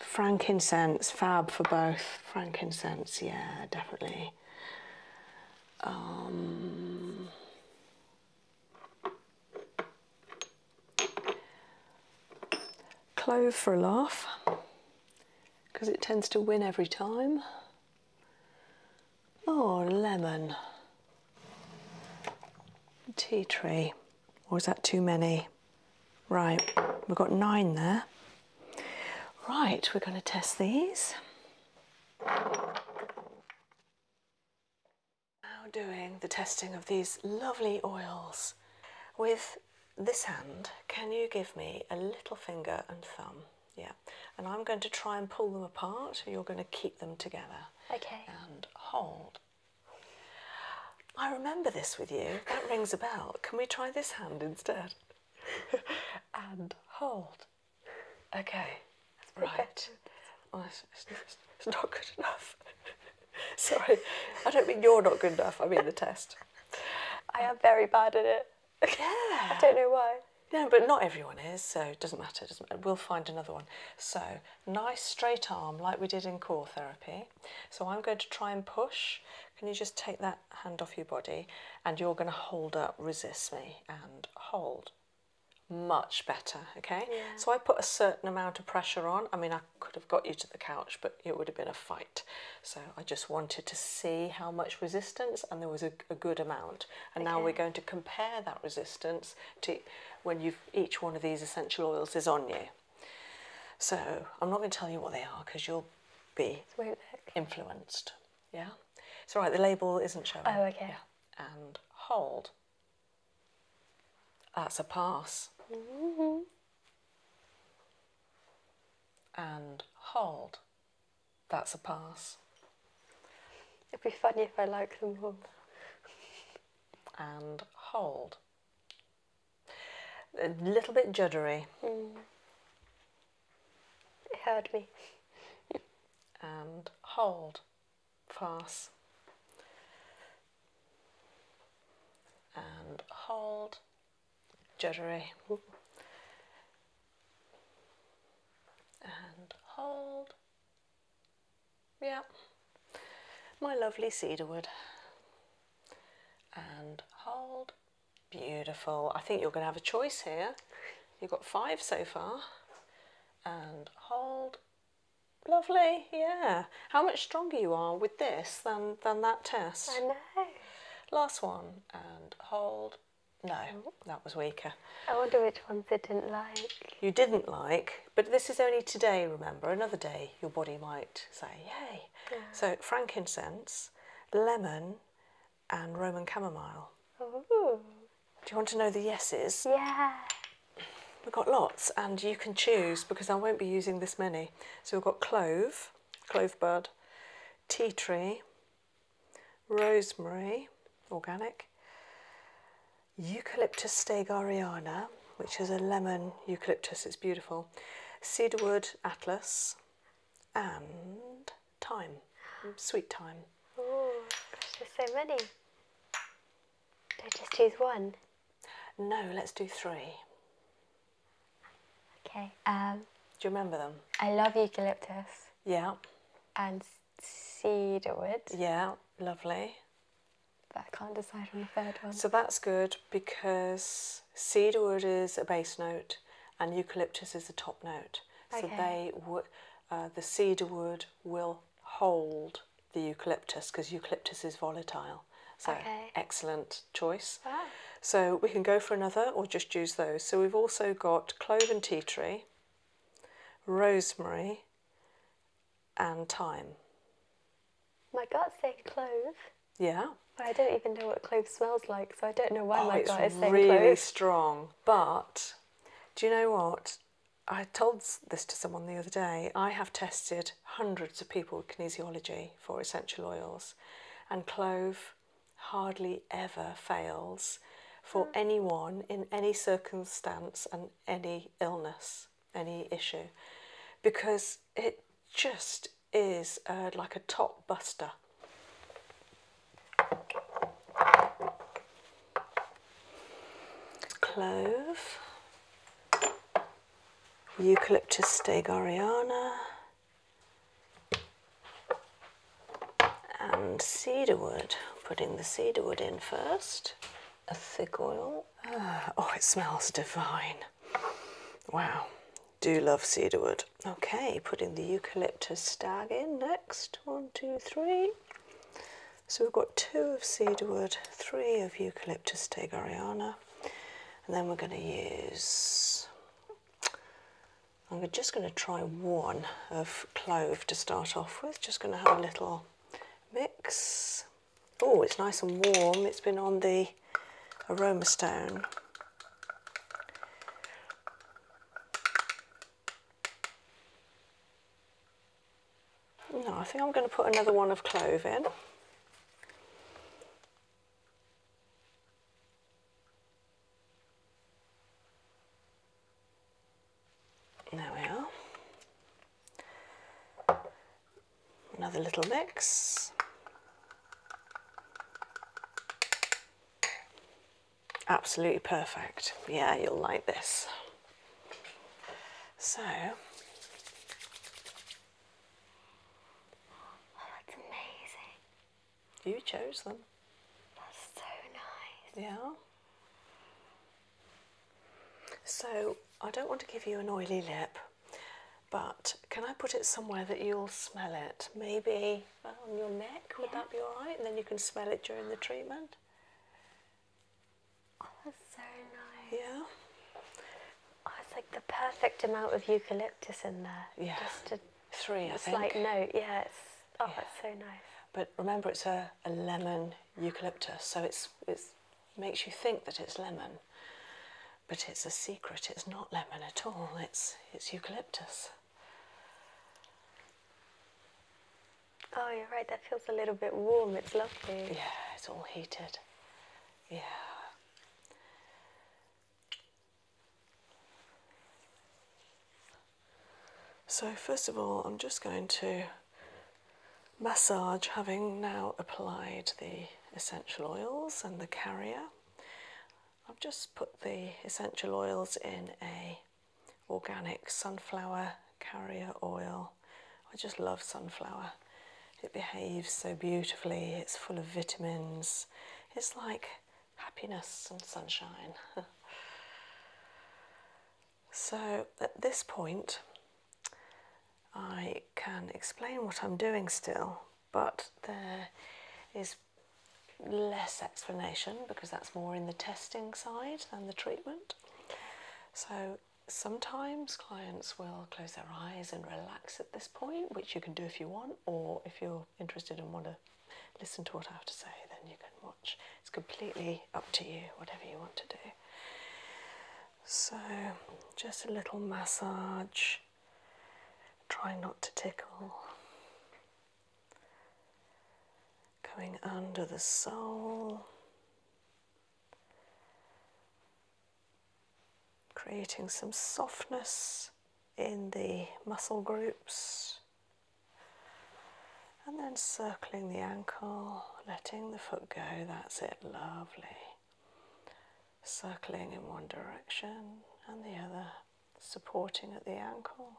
Frankincense, fab for both. Frankincense, yeah, definitely. Um, clove for a laugh, because it tends to win every time. Oh, lemon. Tea tree. Or is that too many? Right, we've got nine there. Right, we're going to test these. Now doing the testing of these lovely oils. With this hand, can you give me a little finger and thumb? Yeah, and I'm going to try and pull them apart. You're going to keep them together. Okay. And hold I remember this with you. That rings a bell. Can we try this hand instead? and hold. Okay. Right. Oh, it's, not good enough. Sorry. I don't mean you're not good enough. I mean the test. I am very bad at it. Yeah. I don't know why. No, but not everyone is, so it doesn't matter. Doesn't matter. We'll find another one. So nice straight arm like we did in core therapy. So I'm going to try and push. Can you just take that hand off your body and you're going to hold up, resist me, and hold. Much better, okay? So I put a certain amount of pressure on. I mean, I could have got you to the couch, but it would have been a fight. So I just wanted to see how much resistance, and there was a, good amount. And now we're going to compare that resistance to when each one of these essential oils is on you. So I'm not going to tell you what they are because you'll be influenced. Yeah, it's all right. The label isn't showing. Oh, okay. Yeah. And hold. That's a pass. And hold. That's a pass. It'd be funny if I like them all. and hold. A little bit juddery. Hmm. It heard me. and hold, pass. And hold, juddery. And hold. Yeah my lovely cedarwood. And hold. Beautiful. I think you're going to have a choice here. You've got five so far. And hold. Lovely, yeah. How much stronger you are with this than, than that test. I know. Last one, and hold. No, mm-hmm. that was weaker. I wonder which ones I didn't like. You didn't like, but this is only today, remember? Another day your body might say, yay, so frankincense, lemon, and Roman chamomile. Do you want to know the yeses? Yeah. We've got lots, and you can choose because I won't be using this many. So we've got clove, clove bud, tea tree, rosemary, organic, eucalyptus stegariana, which is a lemon eucalyptus, it's beautiful. Cedarwood Atlas and thyme, Sweet thyme. Oh, gosh, there's so many. Don't just choose one. No, let's do three. Okay. Um, do you remember them? I love eucalyptus. Yeah. And cedarwood. Yeah, lovely. I can't decide on the third one. So that's good because cedarwood is a base note and eucalyptus is a top note. Okay. So they would uh, the cedarwood will hold the eucalyptus because eucalyptus is volatile. So excellent choice. Wow. So we can go for another or just use those. So we've also got clove and tea tree, rosemary and thyme. My gut said clove. Yeah. But I don't even know what clove smells like, so I don't know why oh, my gut is saying really clove. really strong. But do you know what? I told this to someone the other day. I have tested hundreds of people with kinesiology for essential oils, and clove hardly ever fails for hmm. anyone in any circumstance and any illness, any issue, because it just is uh, like a top buster. Clove, Eucalyptus stegariana, and cedarwood. Putting the cedarwood in first, a thick oil. Ah, oh, it smells divine. Wow, do love cedarwood. Okay, putting the eucalyptus stag in next. One, two, three. So we've got two of cedarwood, three of eucalyptus tegariana, and then we're going to use. I'm just going to try one of clove to start off with. Just going to have a little mix. Oh, it's nice and warm. It's been on the aroma stone. No, I think I'm going to put another one of clove in. There we are. Another little mix. Absolutely perfect. Yeah, you'll like this. So, that's oh, amazing. You chose them. That's so nice. Yeah. So, I don't want to give you an oily lip but can I put it somewhere that you'll smell it? Maybe uh, on your neck, would that be alright? And then you can smell it during the treatment. Oh, that's so nice. Yeah. Oh, it's like the perfect amount of eucalyptus in there. Yeah. Just a three, I slight note. Yeah. It's, oh, that's so nice. But remember, it's a, a lemon eucalyptus, so it's it makes you think that it's lemon but it's a secret. It's not lemon at all. It's it's eucalyptus. Oh, you're right. That feels a little bit warm. It's lovely. Yeah, it's all heated. Yeah. So, first of all, I'm just going to massage, having now applied the essential oils and the carrier. I've just put the essential oils in a organic sunflower carrier oil. I just love sunflower. It behaves so beautifully. It's full of vitamins. It's like happiness and sunshine. so at this point, I can explain what I'm doing still, but there is less explanation because that's more in the testing side than the treatment. So sometimes clients will close their eyes and relax at this point, which you can do if you want, or if you're interested and want to listen to what I have to say, then you can watch. It's completely up to you, whatever you want to do. So, just a little massage Trying not to tickle. Going under the sole, creating some softness in the muscle groups, and then circling the ankle, letting the foot go. That's it, lovely circling in one direction and the other, supporting at the ankle,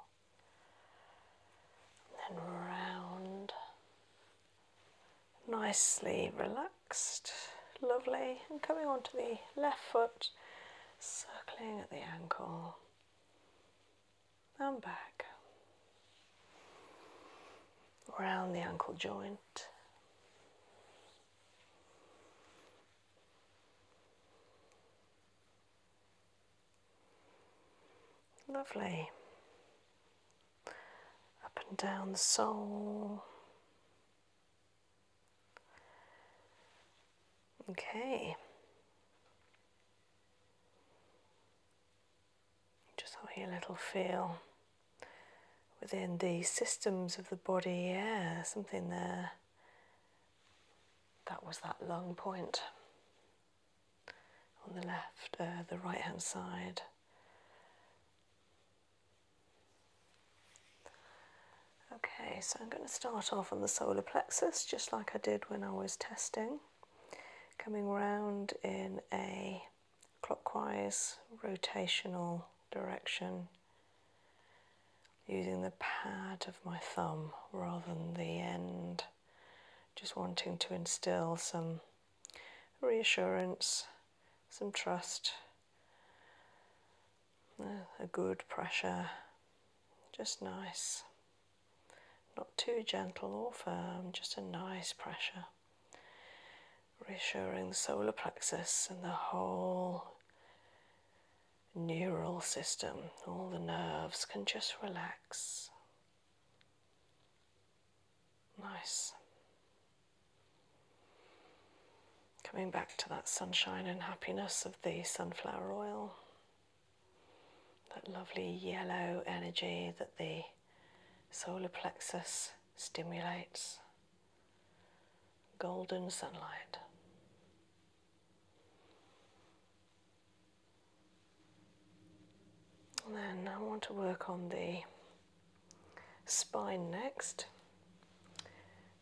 then round, nicely relaxed, lovely, and coming on to the left foot, circling at the ankle and back. Round the ankle joint. Lovely. Up and down the sole. Okay. Just have a little feel within the systems of the body. Yeah, something there. That was that lung point on the left, uh, the right hand side. Okay, so I'm going to start off on the solar plexus just like I did when I was testing, coming round in a clockwise rotational direction using the pad of my thumb rather than the end, just wanting to instill some reassurance, some trust, a good pressure, just nice. Not too gentle or firm, just a nice pressure. Reassuring the solar plexus and the whole neural system, all the nerves can just relax. Nice. Coming back to that sunshine and happiness of the sunflower oil, that lovely yellow energy that the solar plexus stimulates golden sunlight. then I want to work on the spine next,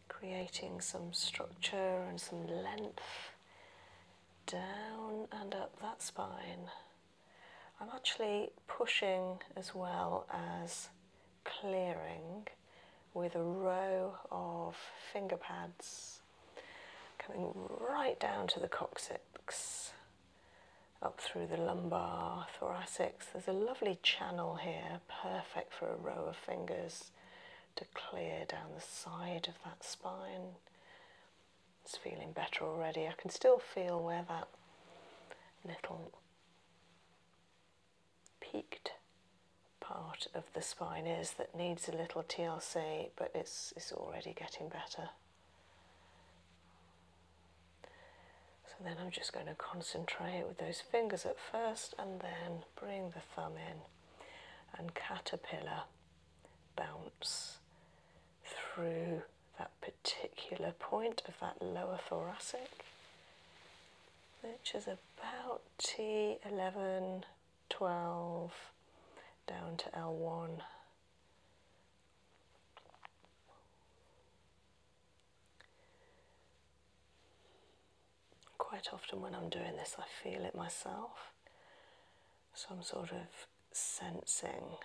creating some structure and some length down and up that spine. I'm actually pushing as well as clearing with a row of finger pads coming right down to the coccyx, up through the lumbar, thoracics. There's a lovely channel here, perfect for a row of fingers to clear down the side of that spine. It's feeling better already. I can still feel where that little peaked part of the spine is that needs a little TLC, but it's, it's already getting better. So then I'm just going to concentrate with those fingers at first and then bring the thumb in and caterpillar bounce through that particular point of that lower thoracic which is about T11, 12 down to L1. Quite often, when I'm doing this, I feel it myself, so I'm sort of sensing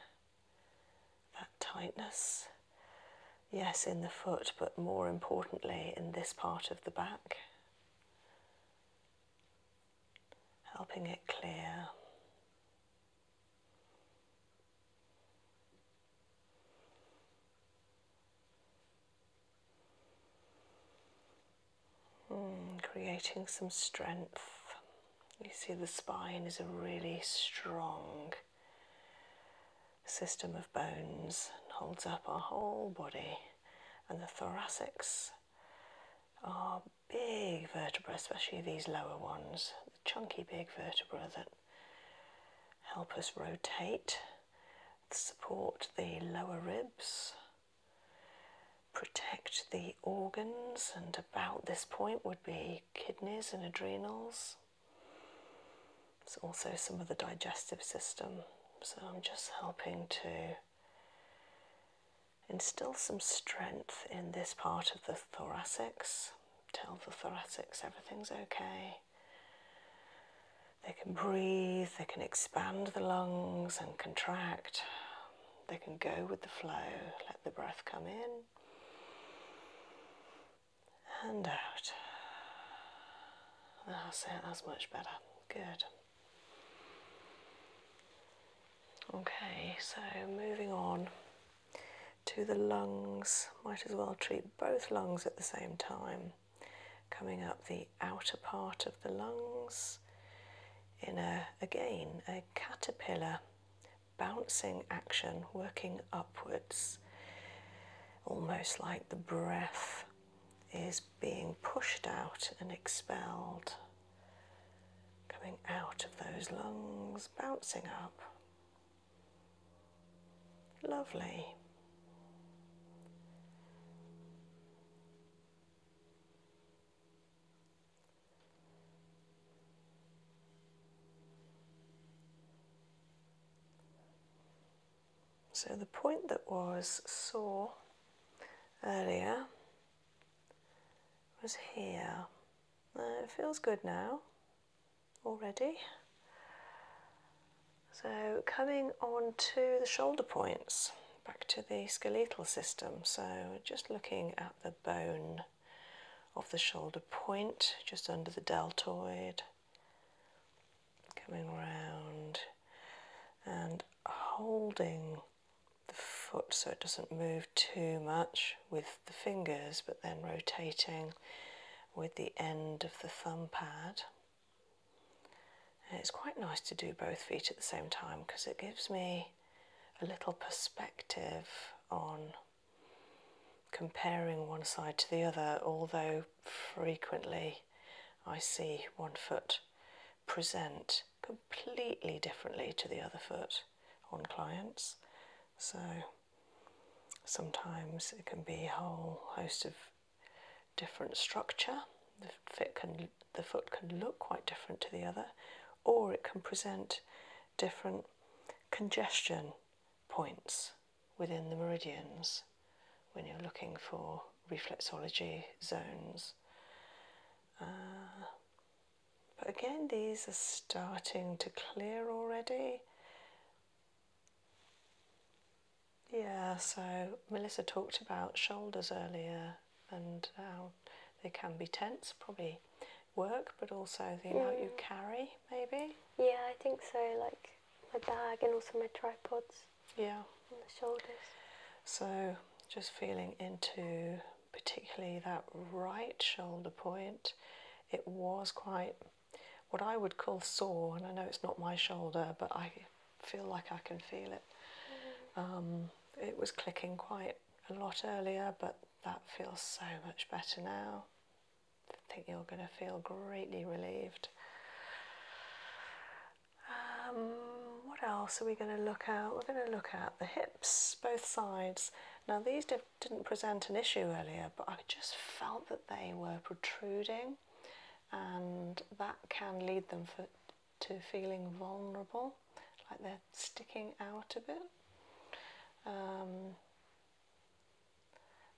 that tightness yes, in the foot, but more importantly in this part of the back, helping it clear. Hmm, creating some strength. You see, the spine is a really strong system of bones and holds up our whole body. And the thoracics are big vertebrae, especially these lower ones, the chunky big vertebrae that help us rotate, support the lower ribs, protect the organs, and about this point would be kidneys and adrenals. It's also some of the digestive system. So I'm just helping to instill some strength in this part of the thoracics. Tell the thoracics everything's okay. They can breathe, they can expand the lungs and contract. They can go with the flow, let the breath come in and out. That's that's much better. Good. Okay, so moving on to the lungs. Might as well treat both lungs at the same time. Coming up the outer part of the lungs in a again a caterpillar bouncing action working upwards, almost like the breath is being pushed out and expelled, coming out of those lungs, bouncing up. Lovely. So the point that was sore earlier was here. it feels good now already. So coming on to the shoulder points, back to the skeletal system. So just looking at the bone of the shoulder point, just under the deltoid coming round and holding the foot so it doesn't move too much with the fingers, but then rotating with the end of the thumb pad. it's quite nice to do both feet at the same time because it gives me a little perspective on comparing one side to the other, although frequently I see one foot present completely differently to the other foot on clients. So sometimes it can be a whole host of different structure. The, fit can, the foot can look quite different to the other, or it can present different congestion points within the meridians when you're looking for reflexology zones. Uh, but again, these are starting to clear already. Yeah, so Melissa talked about shoulders earlier and how they can be tense, probably work, but also the amount you mm. carry, maybe. Yeah, I think so. Like my bag and also my tripods. Yeah. the shoulders. So just feeling into particularly that right shoulder point. It was quite what I would call sore, and I know it's not my shoulder, but I feel like I can feel it. Mm-hmm. Um, it was clicking quite a lot earlier, but that feels so much better now. I think you're going to feel greatly relieved. Um, what else are we going to look at? We're going to look at the hips, both sides. Now these did, not present an issue earlier, but I just felt that they were protruding, and that can lead them for, to feeling vulnerable, like they're sticking out a bit. Um,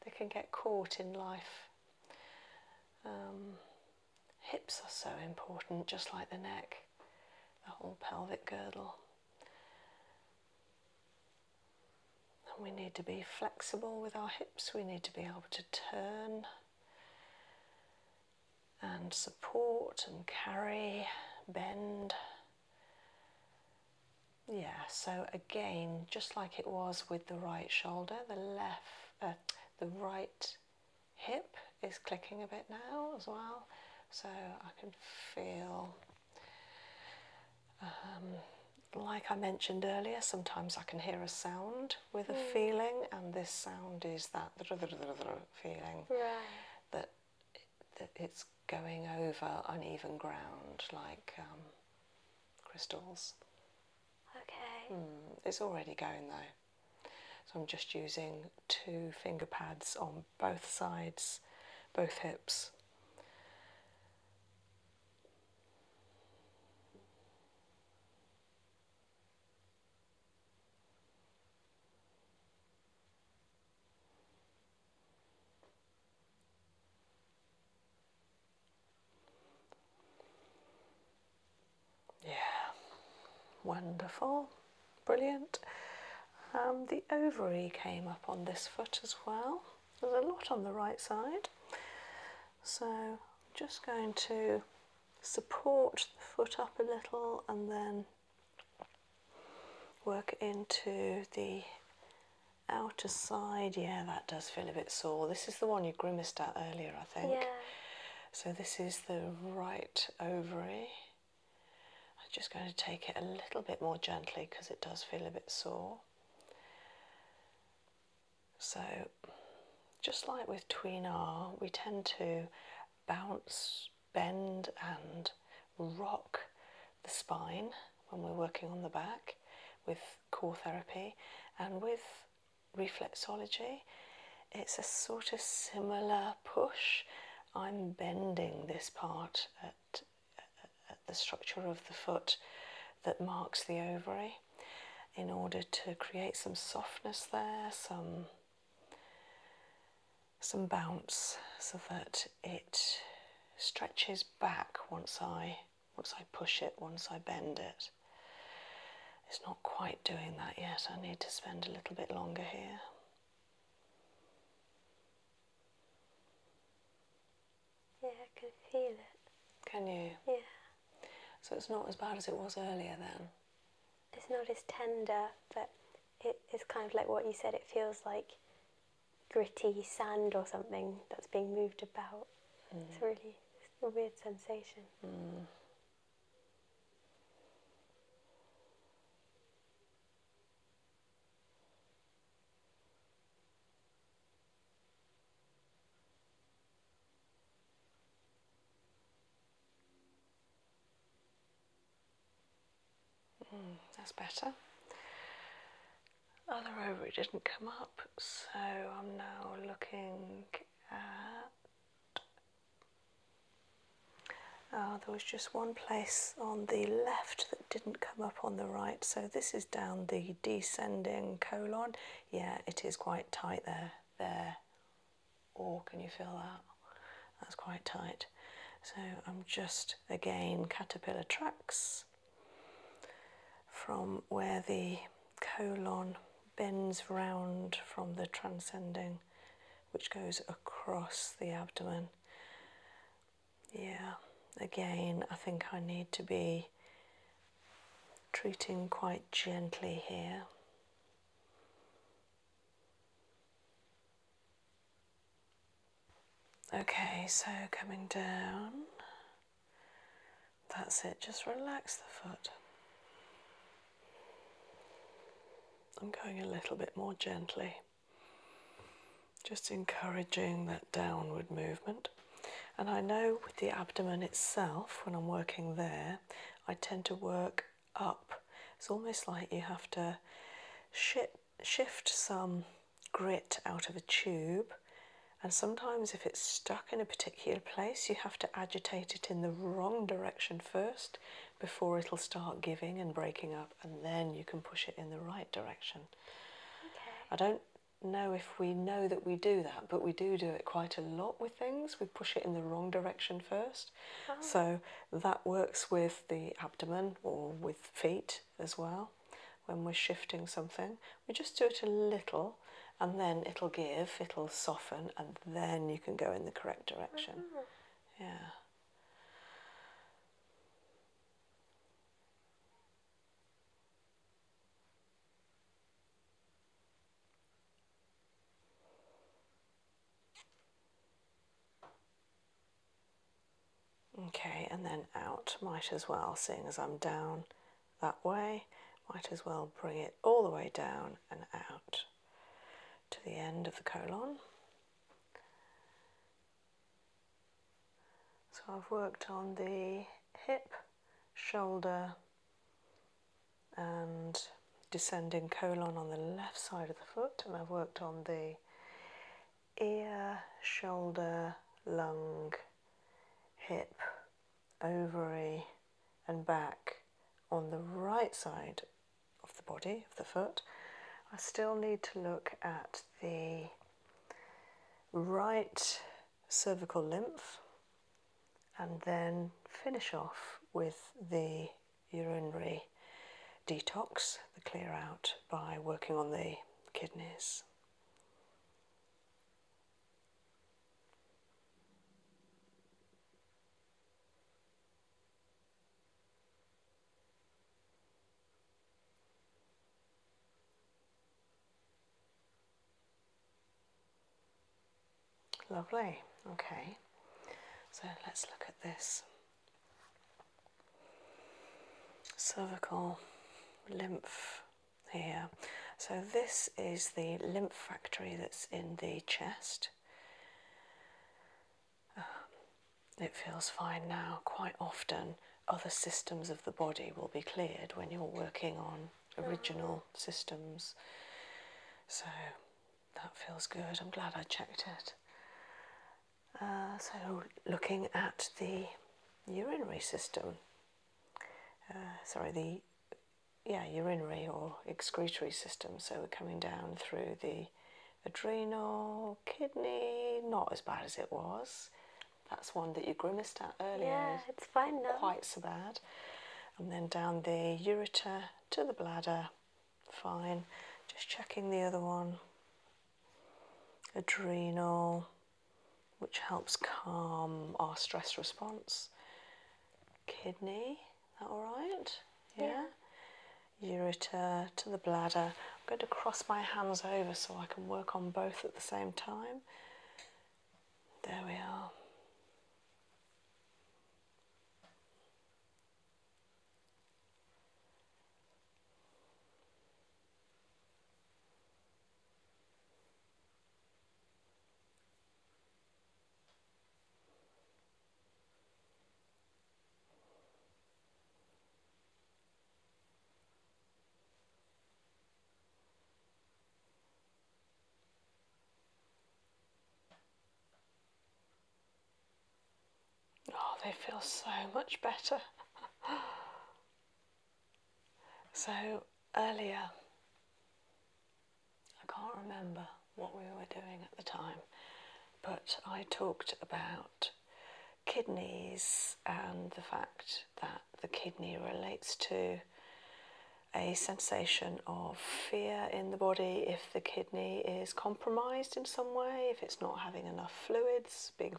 they can get caught in life. Um, Hips are so important, just like the neck, the whole pelvic girdle. And we need to be flexible with our hips, we need to be able to turn and support and carry, bend. Yeah, so again, just like it was with the right shoulder, the left, uh, the right hip is clicking a bit now as well, so I can feel. Um, like I mentioned earlier, sometimes I can hear a sound with a hmm. feeling, and this sound is that feeling that, it's going over uneven ground like um, crystals. Okay. Hmm, it's already going though. So I'm just using two finger pads on both sides, both hips. Yeah, wonderful, brilliant. Um, the ovary came up on this foot as well. There's a lot on the right side, so I'm just going to support the foot up a little and then work into the outer side. Yeah, that does feel a bit sore. This is the one you grimaced at earlier, I think. Yeah. So this is the right ovary. I'm just going to take it a little bit more gently because it does feel a bit sore. So just like with tween we tend to bounce, bend and rock the spine when we're working on the back with core therapy and with reflexology, it's a sort of similar push. I'm bending this part at, the structure of the foot that marks the ovary in order to create some softness there, some some bounce so that it stretches back once I once I push it, once I bend it. It's not quite doing that yet. I need to spend a little bit longer here. Yeah, I can feel it. Can you? Yeah. So it's not as bad as it was earlier then? It's not as tender, but it is kind of like what you said, it feels like gritty sand or something that's being moved about. It's mm. really a weird sensation. Mm. Hmm, that's better. Other ovary didn't come up, so I'm now looking at Ah, there was just one place on the left that didn't come up on the right, so this is down the descending colon. Yeah, it is quite tight there. There. Or oh, can you feel that? That's quite tight. So I'm just again caterpillar tracks from where the colon bends round from the transcending, which goes across the abdomen. Yeah, again, I think I need to be treating quite gently here. Okay, so coming down that's it, just relax the foot. I'm going a little bit more gently, just encouraging that downward movement. And I know with the abdomen itself, when I'm working there, I tend to work up. It's almost like you have to ship, shift some grit out of a tube, and sometimes if it's stuck in a particular particular place, you have to agitate it in the wrong direction first before it'll start giving and breaking up, and then you can push it in the right direction. I don't know if we know that we do that, but we do do it quite a lot with things. We push it in the wrong direction first. Uh-huh. So that works with the abdomen or with feet as well. When we're shifting something, we just do it a little and then it'll give, it'll soften, and then you can go in the correct direction. Yeah. Okay, and then out. Might as well, seeing as I'm down that way, might as well bring it all the way down and out to the end of the colon. So I've worked on the hip, shoulder, and descending colon on the left side of the foot, and I've worked on the ear, shoulder, lung, hip, ovary and back on the right side of the body, of the foot. I still need to look at the right cervical lymph and then finish off with the urinary detox, the clear out, by working on the kidneys. Lovely, okay. So let's look at this cervical lymph here. So, this is the lymph factory that's in the chest, um, it feels fine now. Quite often, other systems of the body will be cleared when you're working on original systems. So that feels good. I'm glad I checked it. Uh, so, looking at the urinary system, uh, sorry, the yeah, urinary or excretory system. So we're coming down through the adrenal, kidney, not as bad as it was. That's one that you grimaced at earlier. Yeah, it's fine now. Quite so bad. And then down the ureter to the bladder, fine. Just checking the other one. Adrenal, which helps calm our stress response. Kidney that all right? Yeah. Ureter to the bladder. I'm going to cross my hands over so I can work on both at the same time. There we are. Oh, they feel so much better. so earlier I can't remember what we were doing at the time, but I talked about kidneys and the fact that the kidney relates to a sensation of fear in the body if the kidney is compromised in some way, if it's not having enough fluids being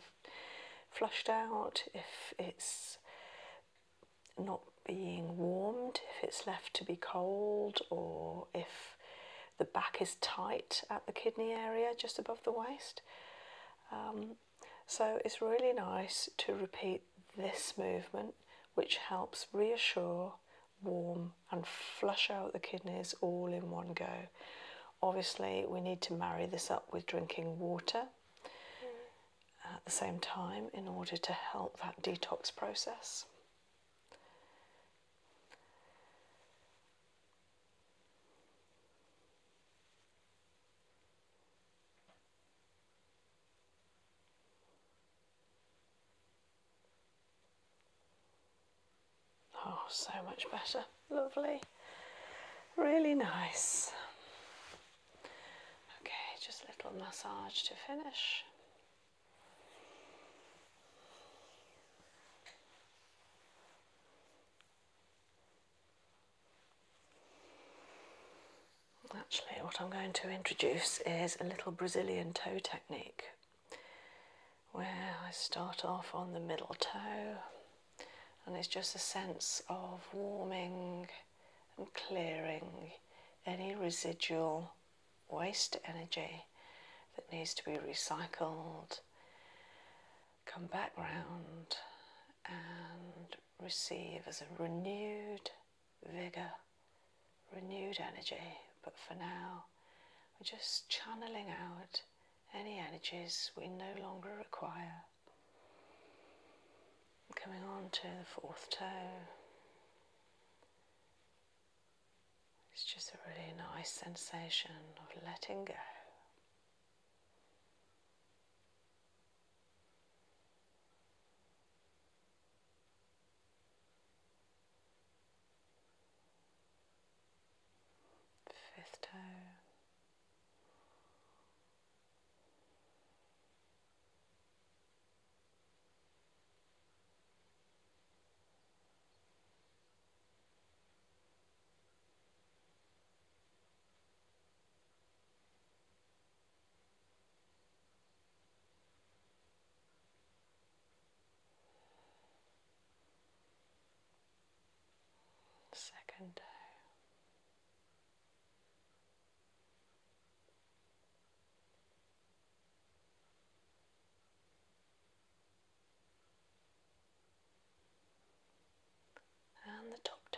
flushed out, if it's not being warmed, if it's left to be cold, or if the back is tight at the kidney area, just above the waist. Um, so it's really nice to repeat this movement, which helps reassure, warm, and flush out the kidneys all in one go. Obviously, we need to marry this up with drinking water mm. at the same time in order to help that detox process. Oh, so much better. Lovely. Really nice. Okay, just a little massage to finish. Actually, what I'm going to introduce is a little Brazilian toe technique where I start off on the middle toe, and it's just a sense of warming and clearing any residual waste energy that needs to be recycled, come back round and receive as a renewed vigour, renewed energy. But for now, we're just channeling out any energies we no longer require. Coming on to the fourth toe, it's just a really nice sensation of letting go. Fifth toe. Second toe and the top toe.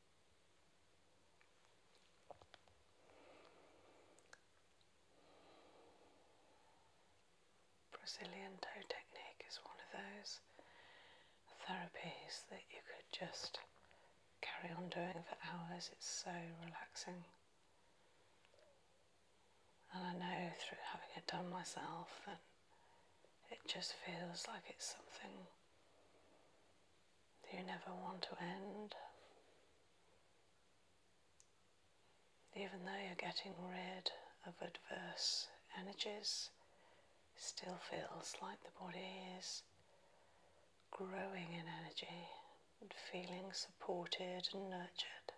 Brazilian toe technique is one of those therapies that you could just carry on doing for hours, it's so relaxing. And I know through having it done myself that it just feels like it's something you never want to end. Even though you're getting rid of adverse energies, still feels like the body is growing in energy and feeling supported and nurtured.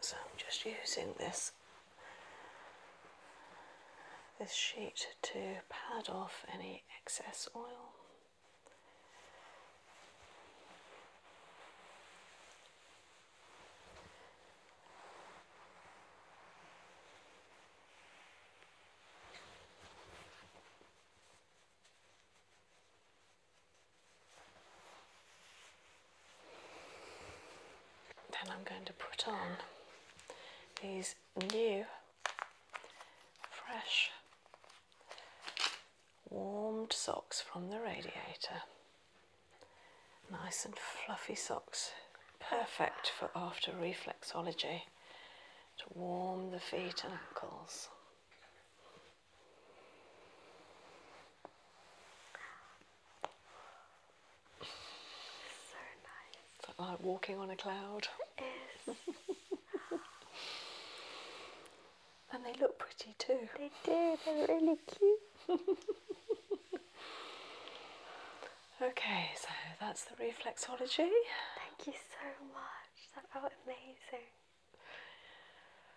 So I'm just using this this sheet to pad off any excess oil. Then I'm going to put on these new, fresh, warmed socks from the radiator. Nice and fluffy socks, perfect for after reflexology to warm the feet and ankles. So nice. like walking on a cloud. Yes. and they look pretty too. They do, they're really cute. okay, so that's the reflexology. Thank you so much gosh, that felt amazing.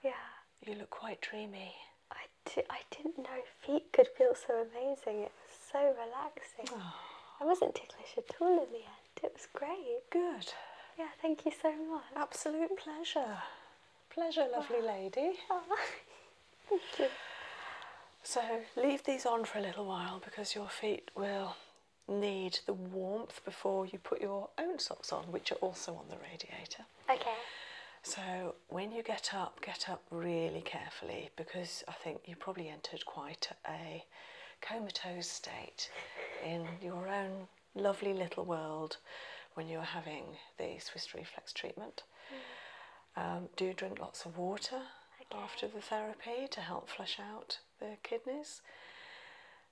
Yeah. You look quite dreamy. I, di I didn't know feet could feel so amazing. It was so relaxing. Oh. I wasn't ticklish at all in the end. It was great. Good. Yeah, thank you so much. Absolute pleasure. Pleasure, lovely lady. thank you. So leave these on for a little while because your feet will need the warmth before you put your own socks on, which are also on the radiator. Okay. So when you get up, get up really carefully because I think you probably entered quite a comatose state in your own lovely little world when you were having the Swiss reflex treatment. Mm. Um, do drink lots of water after the therapy to help flush out the kidneys.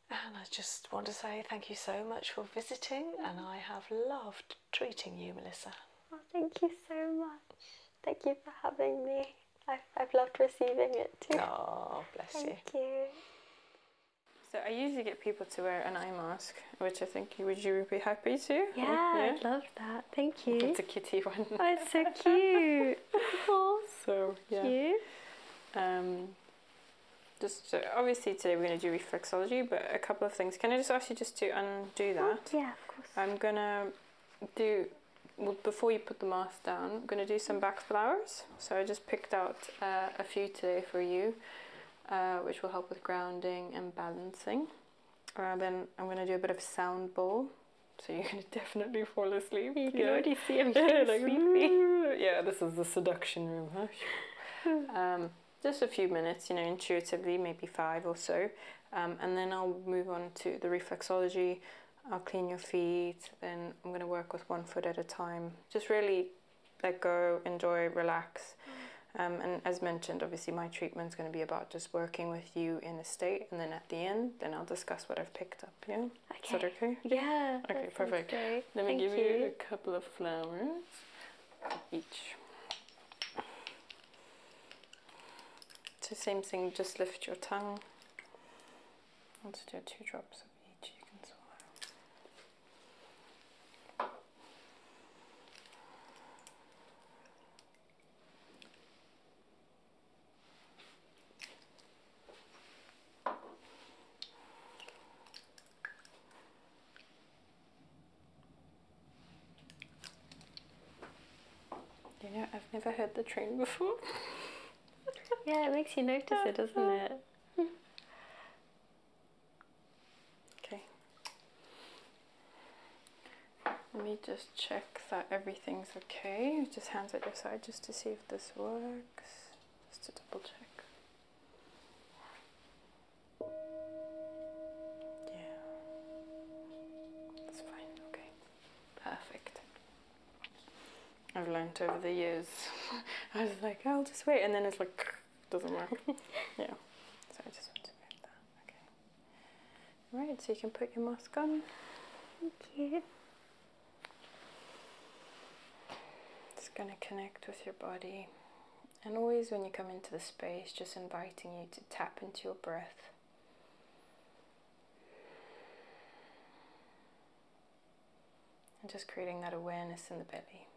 And I just want to say thank you so much for visiting, and I have loved treating you, Melissa. Oh, thank you so much. Thank you for having me. I've, I've loved receiving it too. Oh, bless you. Thank you. So I usually get people to wear an eye mask, which I think would you be happy to? Yeah, i love that. Thank you. It's a kitty one. Oh, it's so cute. So yeah. Um, just obviously today we're going to do reflexology, but a couple of things. Can I just ask you just to undo that? yeah, of course. I'm gonna do before you put the mask down. I'm gonna do some back flowers. So I just picked out uh, a few today for you, uh, which will help with grounding and balancing. Uh, then I'm gonna do a bit of sound bowl. So you're gonna definitely fall asleep. You can yeah. already see him like, sleeping. Yeah, this is the seduction room, um, just a few minutes, you know, intuitively, maybe five or so, um, and then I'll move on to the reflexology. I'll clean your feet, then I'm going to work with one foot at a time. Just really let go, enjoy, relax. Um, and as mentioned, obviously, my treatment is going to be about just working with you in a state, and then at the end, then I'll discuss what I've picked up. Yeah. Okay. Yeah. Okay, perfect. Let me give you. a couple of flowers each. So same thing, just lift your tongue. Let's do two drops of each you can swallow. You know, I've never heard the train before. yeah, it makes you notice it, doesn't it? okay. Let me just check that everything's okay. Just hands at your side just to see if this works just to double check. Yeah, that's fine. Okay, perfect. I've learned over the years. I was like, I'll oh, just wait, and then it's like doesn't work. yeah, so I just want to grab that. Okay. Right, so you can put your mask on. Thank you. It's going to connect with your body. And always when you come into the space, just inviting you to tap into your breath. And just creating that awareness in the belly.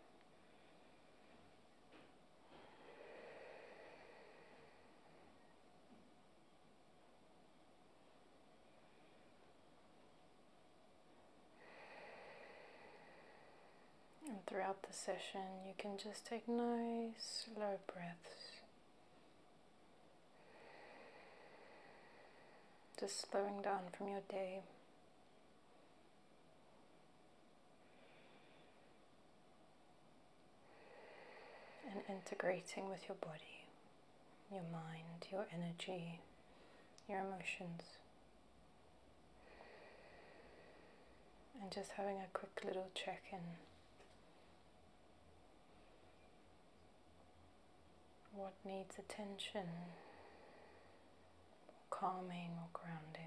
And throughout the session, you can just take nice, slow breaths. Just slowing down from your day. and integrating with your body your mind, your energy, your emotions. And just having a quick little check in. What needs attention, calming, or grounding?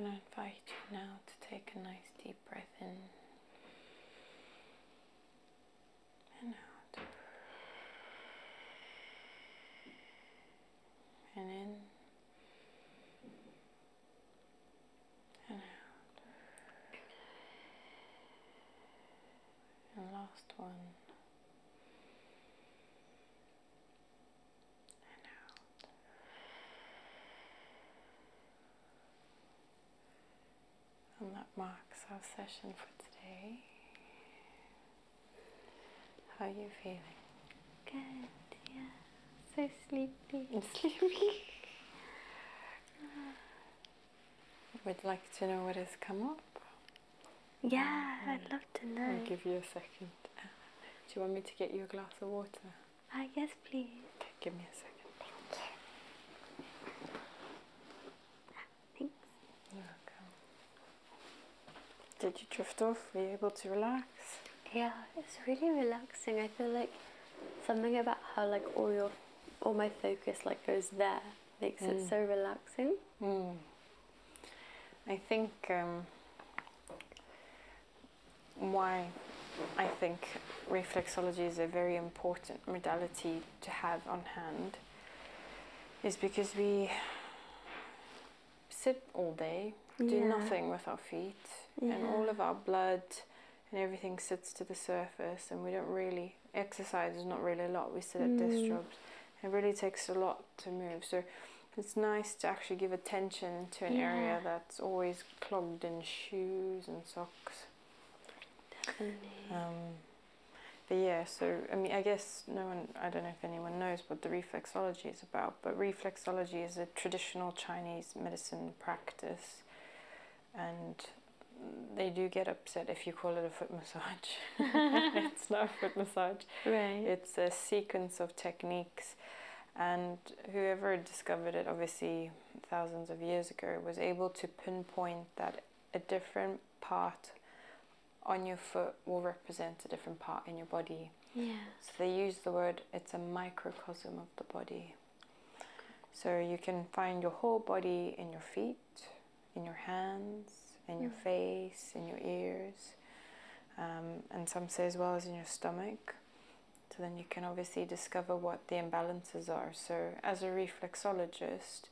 I'm going to invite you now to take a nice deep breath in and out. And in and out. And last one. And out. And that marks our session for today. How are you feeling? Good, yeah. So sleepy. I'm sleepy. Would like to know what has come up? Yeah, um, I'd love to know. I'll give you a second. Uh, do you want me to get you a glass of water? Ah, uh, yes, please. Okay, give me a second. Thank you. Did you drift off? Were you able to relax? Yeah, it's really relaxing. I feel like something about how like all your all my focus like goes there makes it mm. so relaxing. Mm. I think um, why I think reflexology is a very important modality to have on hand is because we sit all day, do nothing with our feet, and all of our blood and everything sits to the surface, and we don't really exercise. There's not really a lot. We sit at desk mm. jobs. It really takes a lot to move. So it's nice to actually give attention to an area that's always clogged in shoes and socks. Um, but yeah, so I mean, I guess no one, I don't know if anyone knows what the reflexology is about, but reflexology is a traditional Chinese medicine practice, and they do get upset if you call it a foot massage. it's not a foot massage. Right. It's a sequence of techniques, and whoever discovered it, obviously thousands of years ago, was able to pinpoint that a different part on your foot will represent a different part in your body. Yeah. So they use the word, it's a microcosm of the body. So you can find your whole body in your feet, in your hands, in your mm. face, in your ears, um, and some say as well as in your stomach. So then you can obviously discover what the imbalances are. So as a reflexologist,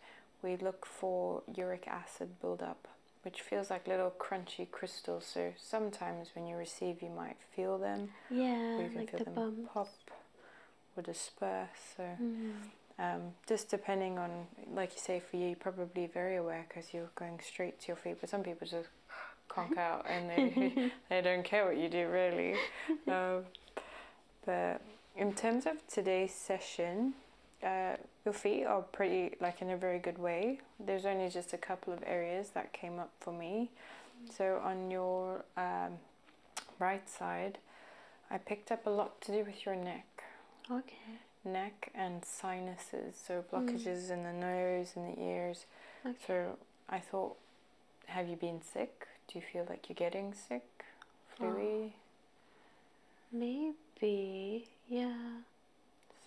we look for uric acid buildup which feels like little crunchy crystals. So sometimes when you receive, you might feel them. Yeah, or you can feel them pop or disperse. So mm. um, just depending on, like you say, for you, probably very aware because you're going straight to your feet. But some people just conk out and they they don't care what you do really. Um, but in terms of today's session, uh, your feet are pretty, like in a very good way. There's only just a couple of areas that came up for me. So on your um, right side, I picked up a lot to do with your neck. Okay. Neck and sinuses, so hmm. blockages in the nose and the ears. Okay. So I thought, have you been sick? Do you feel like you're getting sick? Oh. Flu? Maybe, yeah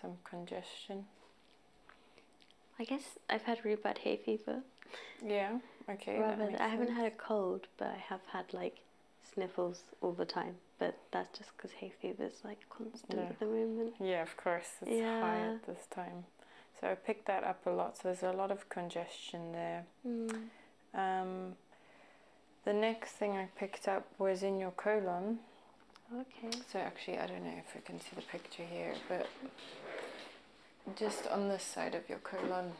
some congestion. I guess I've had really bad hay fever. Yeah, okay. Rather, I haven't had a cold, but I have had like sniffles all the time. But that's just because hay fever is like constant at the moment. Yeah, of course, it's yeah. high at this time. So I picked that up a lot. So there's a lot of congestion there. Hmm. Um, the next thing I picked up was in your colon. Okay. So actually, I don't know if we can see the picture here, but just on this side of your colon,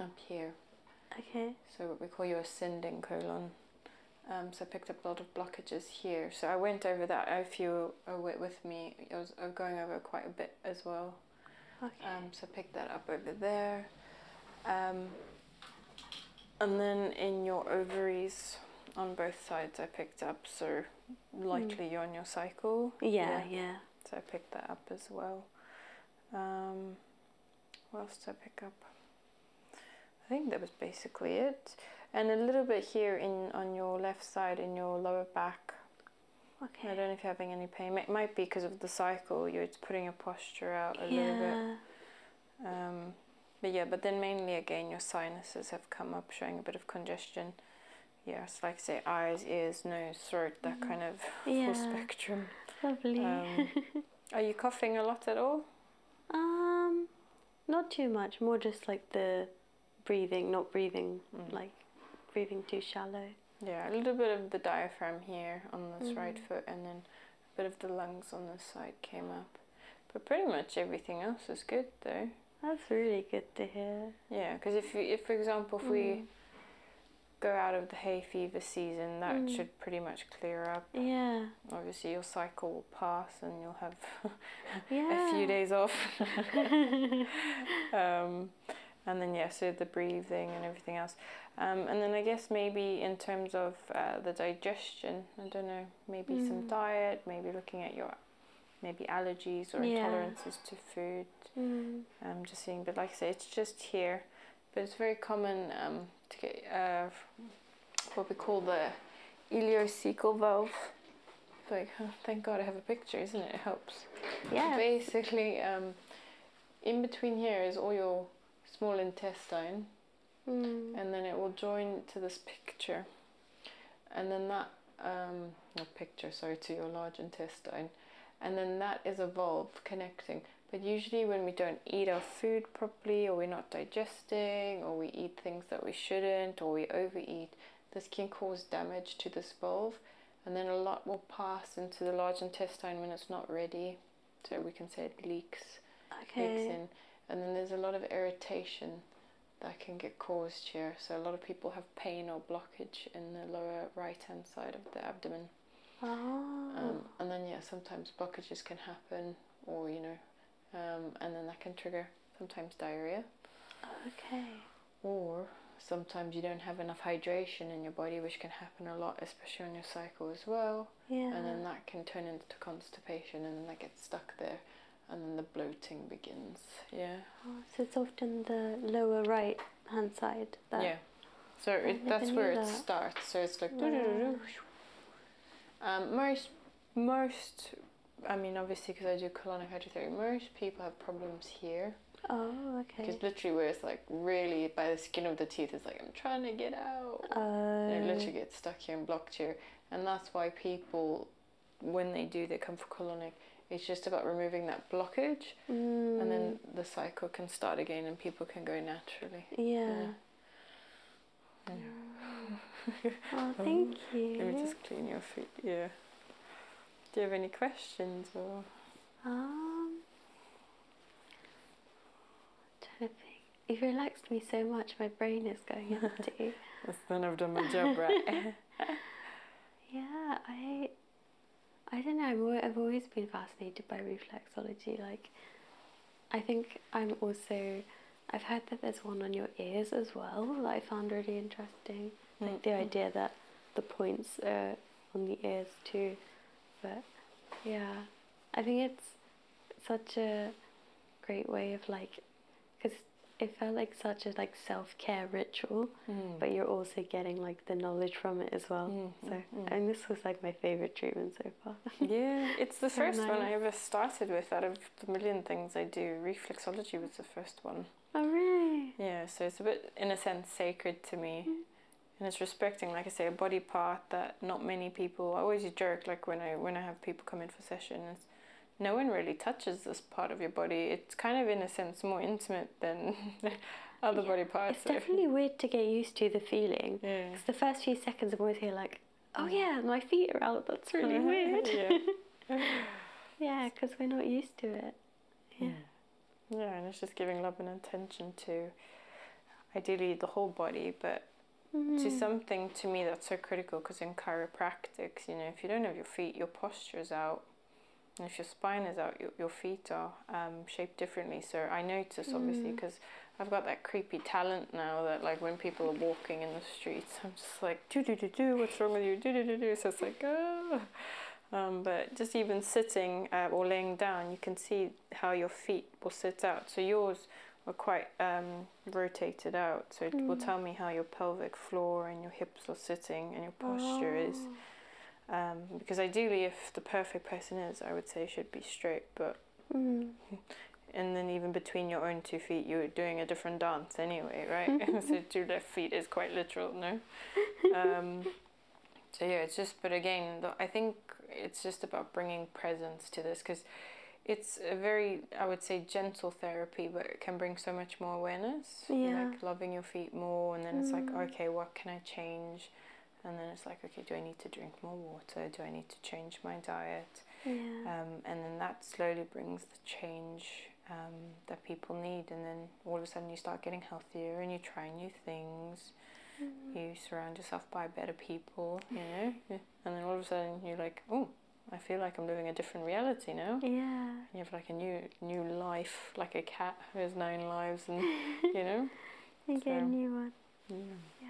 up here. Okay. So we call your ascending colon. Um, so I picked up a lot of blockages here. So I went over that. If you were with me, I was going over quite a bit as well. Okay. Um, so pick that up over there. Um, and then in your ovaries on both sides I picked up so likely mm. you're on your cycle. Yeah, yeah, So I picked that up as well. Um, what else did I pick up? I think that was basically it. And a little bit here in on your left side in your lower back. Okay. I don't know if you're having any pain. It might be because of the cycle. You're, putting your posture out a little bit. Um, but yeah, but then mainly again your sinuses have come up showing a bit of congestion. Yes, like I say, eyes, ears, nose, throat, that mm-hmm. kind of full spectrum. Lovely. Um, are you coughing a lot at all? Um, not too much. More just like the breathing, not breathing, mm. like breathing too shallow. Yeah, a little bit of the diaphragm here on this right mm. foot, and then bit of the lungs on the side came up. But pretty much everything else is good though. That's really good to hear. Yeah, because if, you, if, for example, if we mm. go out of the hay fever season, that mm. should pretty much clear up. Yeah. Obviously, your cycle will pass and you'll have a few days off. Um, and then, yeah, so the breathing and everything else. Um, and then I guess maybe in terms of uh, the digestion, I don't know, maybe some mm. diet, maybe looking at your maybe allergies or intolerances to food. I'm mm. um, just seeing, but like I said, it's just here. But it's very common um, to get uh, what we call the ileocecal valve. like, thank God I have a picture, isn't it? It helps. Yeah. Basically, um, in between here is all your small intestine. Hmm. and then it will join to this picture and then that um, picture sorry to your large intestine and then that is a valve connecting but usually when we don't eat our food properly or we're not digesting or we eat things that we shouldn't or we overeat this can cause damage to this valve and then a lot will pass into the large intestine when it's not ready so we can say it leaks, leaks in. And then there's a lot of irritation that can get caused here. So a lot of people have pain or blockage in the lower right hand side of the abdomen. Ah. Um, and then yeah, sometimes blockages can happen, or you know, um, and then that can trigger sometimes diarrhea. Okay. Or sometimes you don't have enough hydration in your body, which can happen a lot, especially on your cycle as well. Yeah. And then that can turn into constipation and then that gets stuck there and then the bloating begins. Yeah. Oh, so it's often the lower right hand side that Yeah. So it, that's where it starts. So it's like yeah. doo -doo -doo um, most most I mean obviously because I do colonic hydrotherapy, most people have problems here. Oh, okay. Because literally where it's like really by the skin of the teeth, it's like I'm trying to get out. Oh. And it literally oh stuck here and blocked here. And that's why people, when they do, they come for colonic. It's just about removing that blockage, and then mm. the cycle can start again, and people can go naturally. Yeah. oh, um, thank you. Let me just clean your feet. Yeah. Do you have any questions or? Um. Trying to think. You've relaxed me so much, my brain is going empty. That's I've done my job, right? yeah, I, I don't know. I've always been fascinated by reflexology. Like, I think I'm also. I've heard that there's one on your ears as well that I found really interesting. Like mm the mm-hmm. idea that the points are on the ears too. But yeah, I think it's such a great way of like, because it felt like such a like self care ritual, hmm. but you're also getting like the knowledge from it as well. Hmm, hmm, so and this was like my favorite treatment so far. yeah, it's the first one I ever started with out of the million things I do. Reflexology was the first one. Oh really? Yeah, so it's a bit in a sense sacred to me, mm-hmm. and it's respecting, like I say, a body part that not many people. I always joke like when I when I have people come in for sessions, no one really touches this part of your body. It's kind of in a sense more intimate than other body parts. It's definitely weird to get used to the feeling. Yeah. Because the first few seconds I'm always here like, oh mm. yeah, my feet are out. That's really weird. yeah. yeah, because we're not used to it. Yeah. Yeah, and it's just giving love and attention to ideally the whole body, but Mm. To hmm. something to me that's so critical because in chiropractics, you know, if you don't have your feet, your posture is out. And if your spine is out, your, your feet are um, shaped differently. So I notice obviously because hmm. I've got that creepy talent now that like when people are walking in the streets, I'm just like do do do do. What's wrong with you? Do do do do. So it's like ah. but just even sitting uh, or laying down, you can see how your feet will sit out. So yours were quite um, rotated out. So it will mm. tell me how your pelvic floor and your hips are sitting and your posture is. Oh, um, because ideally, if the perfect person is, I would say should be straight, but. Mm. And then even between your own two feet, you're doing a different dance anyway, right? so two left feet is quite literal, no? Um, so yeah, it's just. But again, I think it's just about bringing presence to this because it's a very i would say gentle therapy but it can bring so much more awareness yeah. like loving your feet more and then it's like mm. okay what can i change and then it's like okay do i need to drink more water do i need to change my diet yeah. um, and then that slowly brings the change um, that people need and then all of a sudden you start getting healthier and you try new things mm. you surround yourself by better people you know and then all of a sudden you're like, oh, I feel like I'm living a different reality now. Yeah. You have like a new new life, like a cat who has nine lives, and you know. you so, get a new one. Yeah.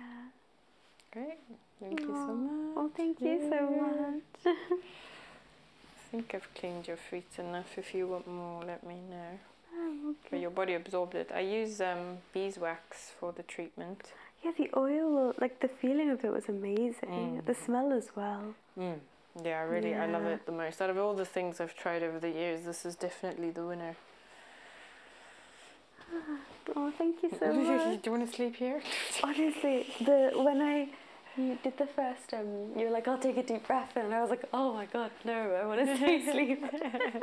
Great. Thank you so much. Oh, thank you so much. I think I've cleaned your feet enough. If you want more, let me know. Oh, okay. your body absorbed it. I use um, beeswax for the treatment yeah, the oil, like the feeling of it was amazing. Mm. The smell as well. Mm. Yeah, really, I love it the most. Out of all the things I've tried over the years, this is definitely the winner. Oh, thank you so much. Do you want to sleep here? Honestly, the when I did the first, um, you were like, I'll take a deep breath, and I was like, oh my god, no, I want to sleep. asleep.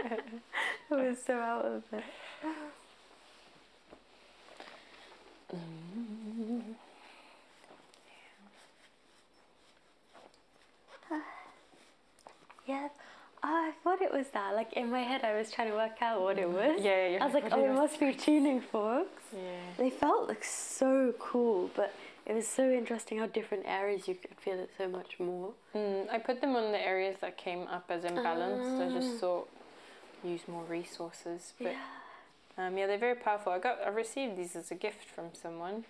I was so out of it. Yeah. Ah, I thought it was that. Like in my head, I was trying to work out what it mm. was. Yeah, yeah. I was like, oh, it must be tuning forks. Yeah. They felt like so cool, but it was so interesting how different areas you could feel it so much more. Mm, I put them on the areas that came up as imbalanced. I just thought ah use more resources. But um, yeah. they're very powerful. I got I received these as a gift from someone,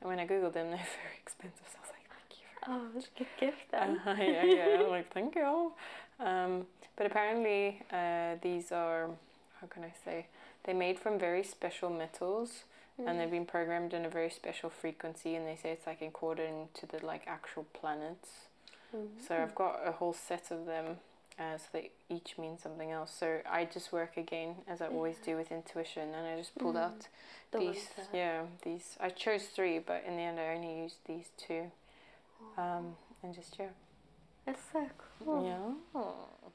and when I googled them, they're very expensive. So I was like, thank you. for oh, a good gift then. Uh-huh, yeah, yeah. I'm like, thank you. Um, but apparently, uh, these are how can I say? They're made from very special metals. And they've mm. been programmed in a very special frequency, and they say it's like encoded into the like actual planets. So I've got a whole set of them as uh, they each mean something else. So I just work again as I always do with intuition, and I just pulled mm-hmm. out these. Yeah, these. I chose three, but in the end, I only used these two, um, and just yeah. It's so cool. Yeah.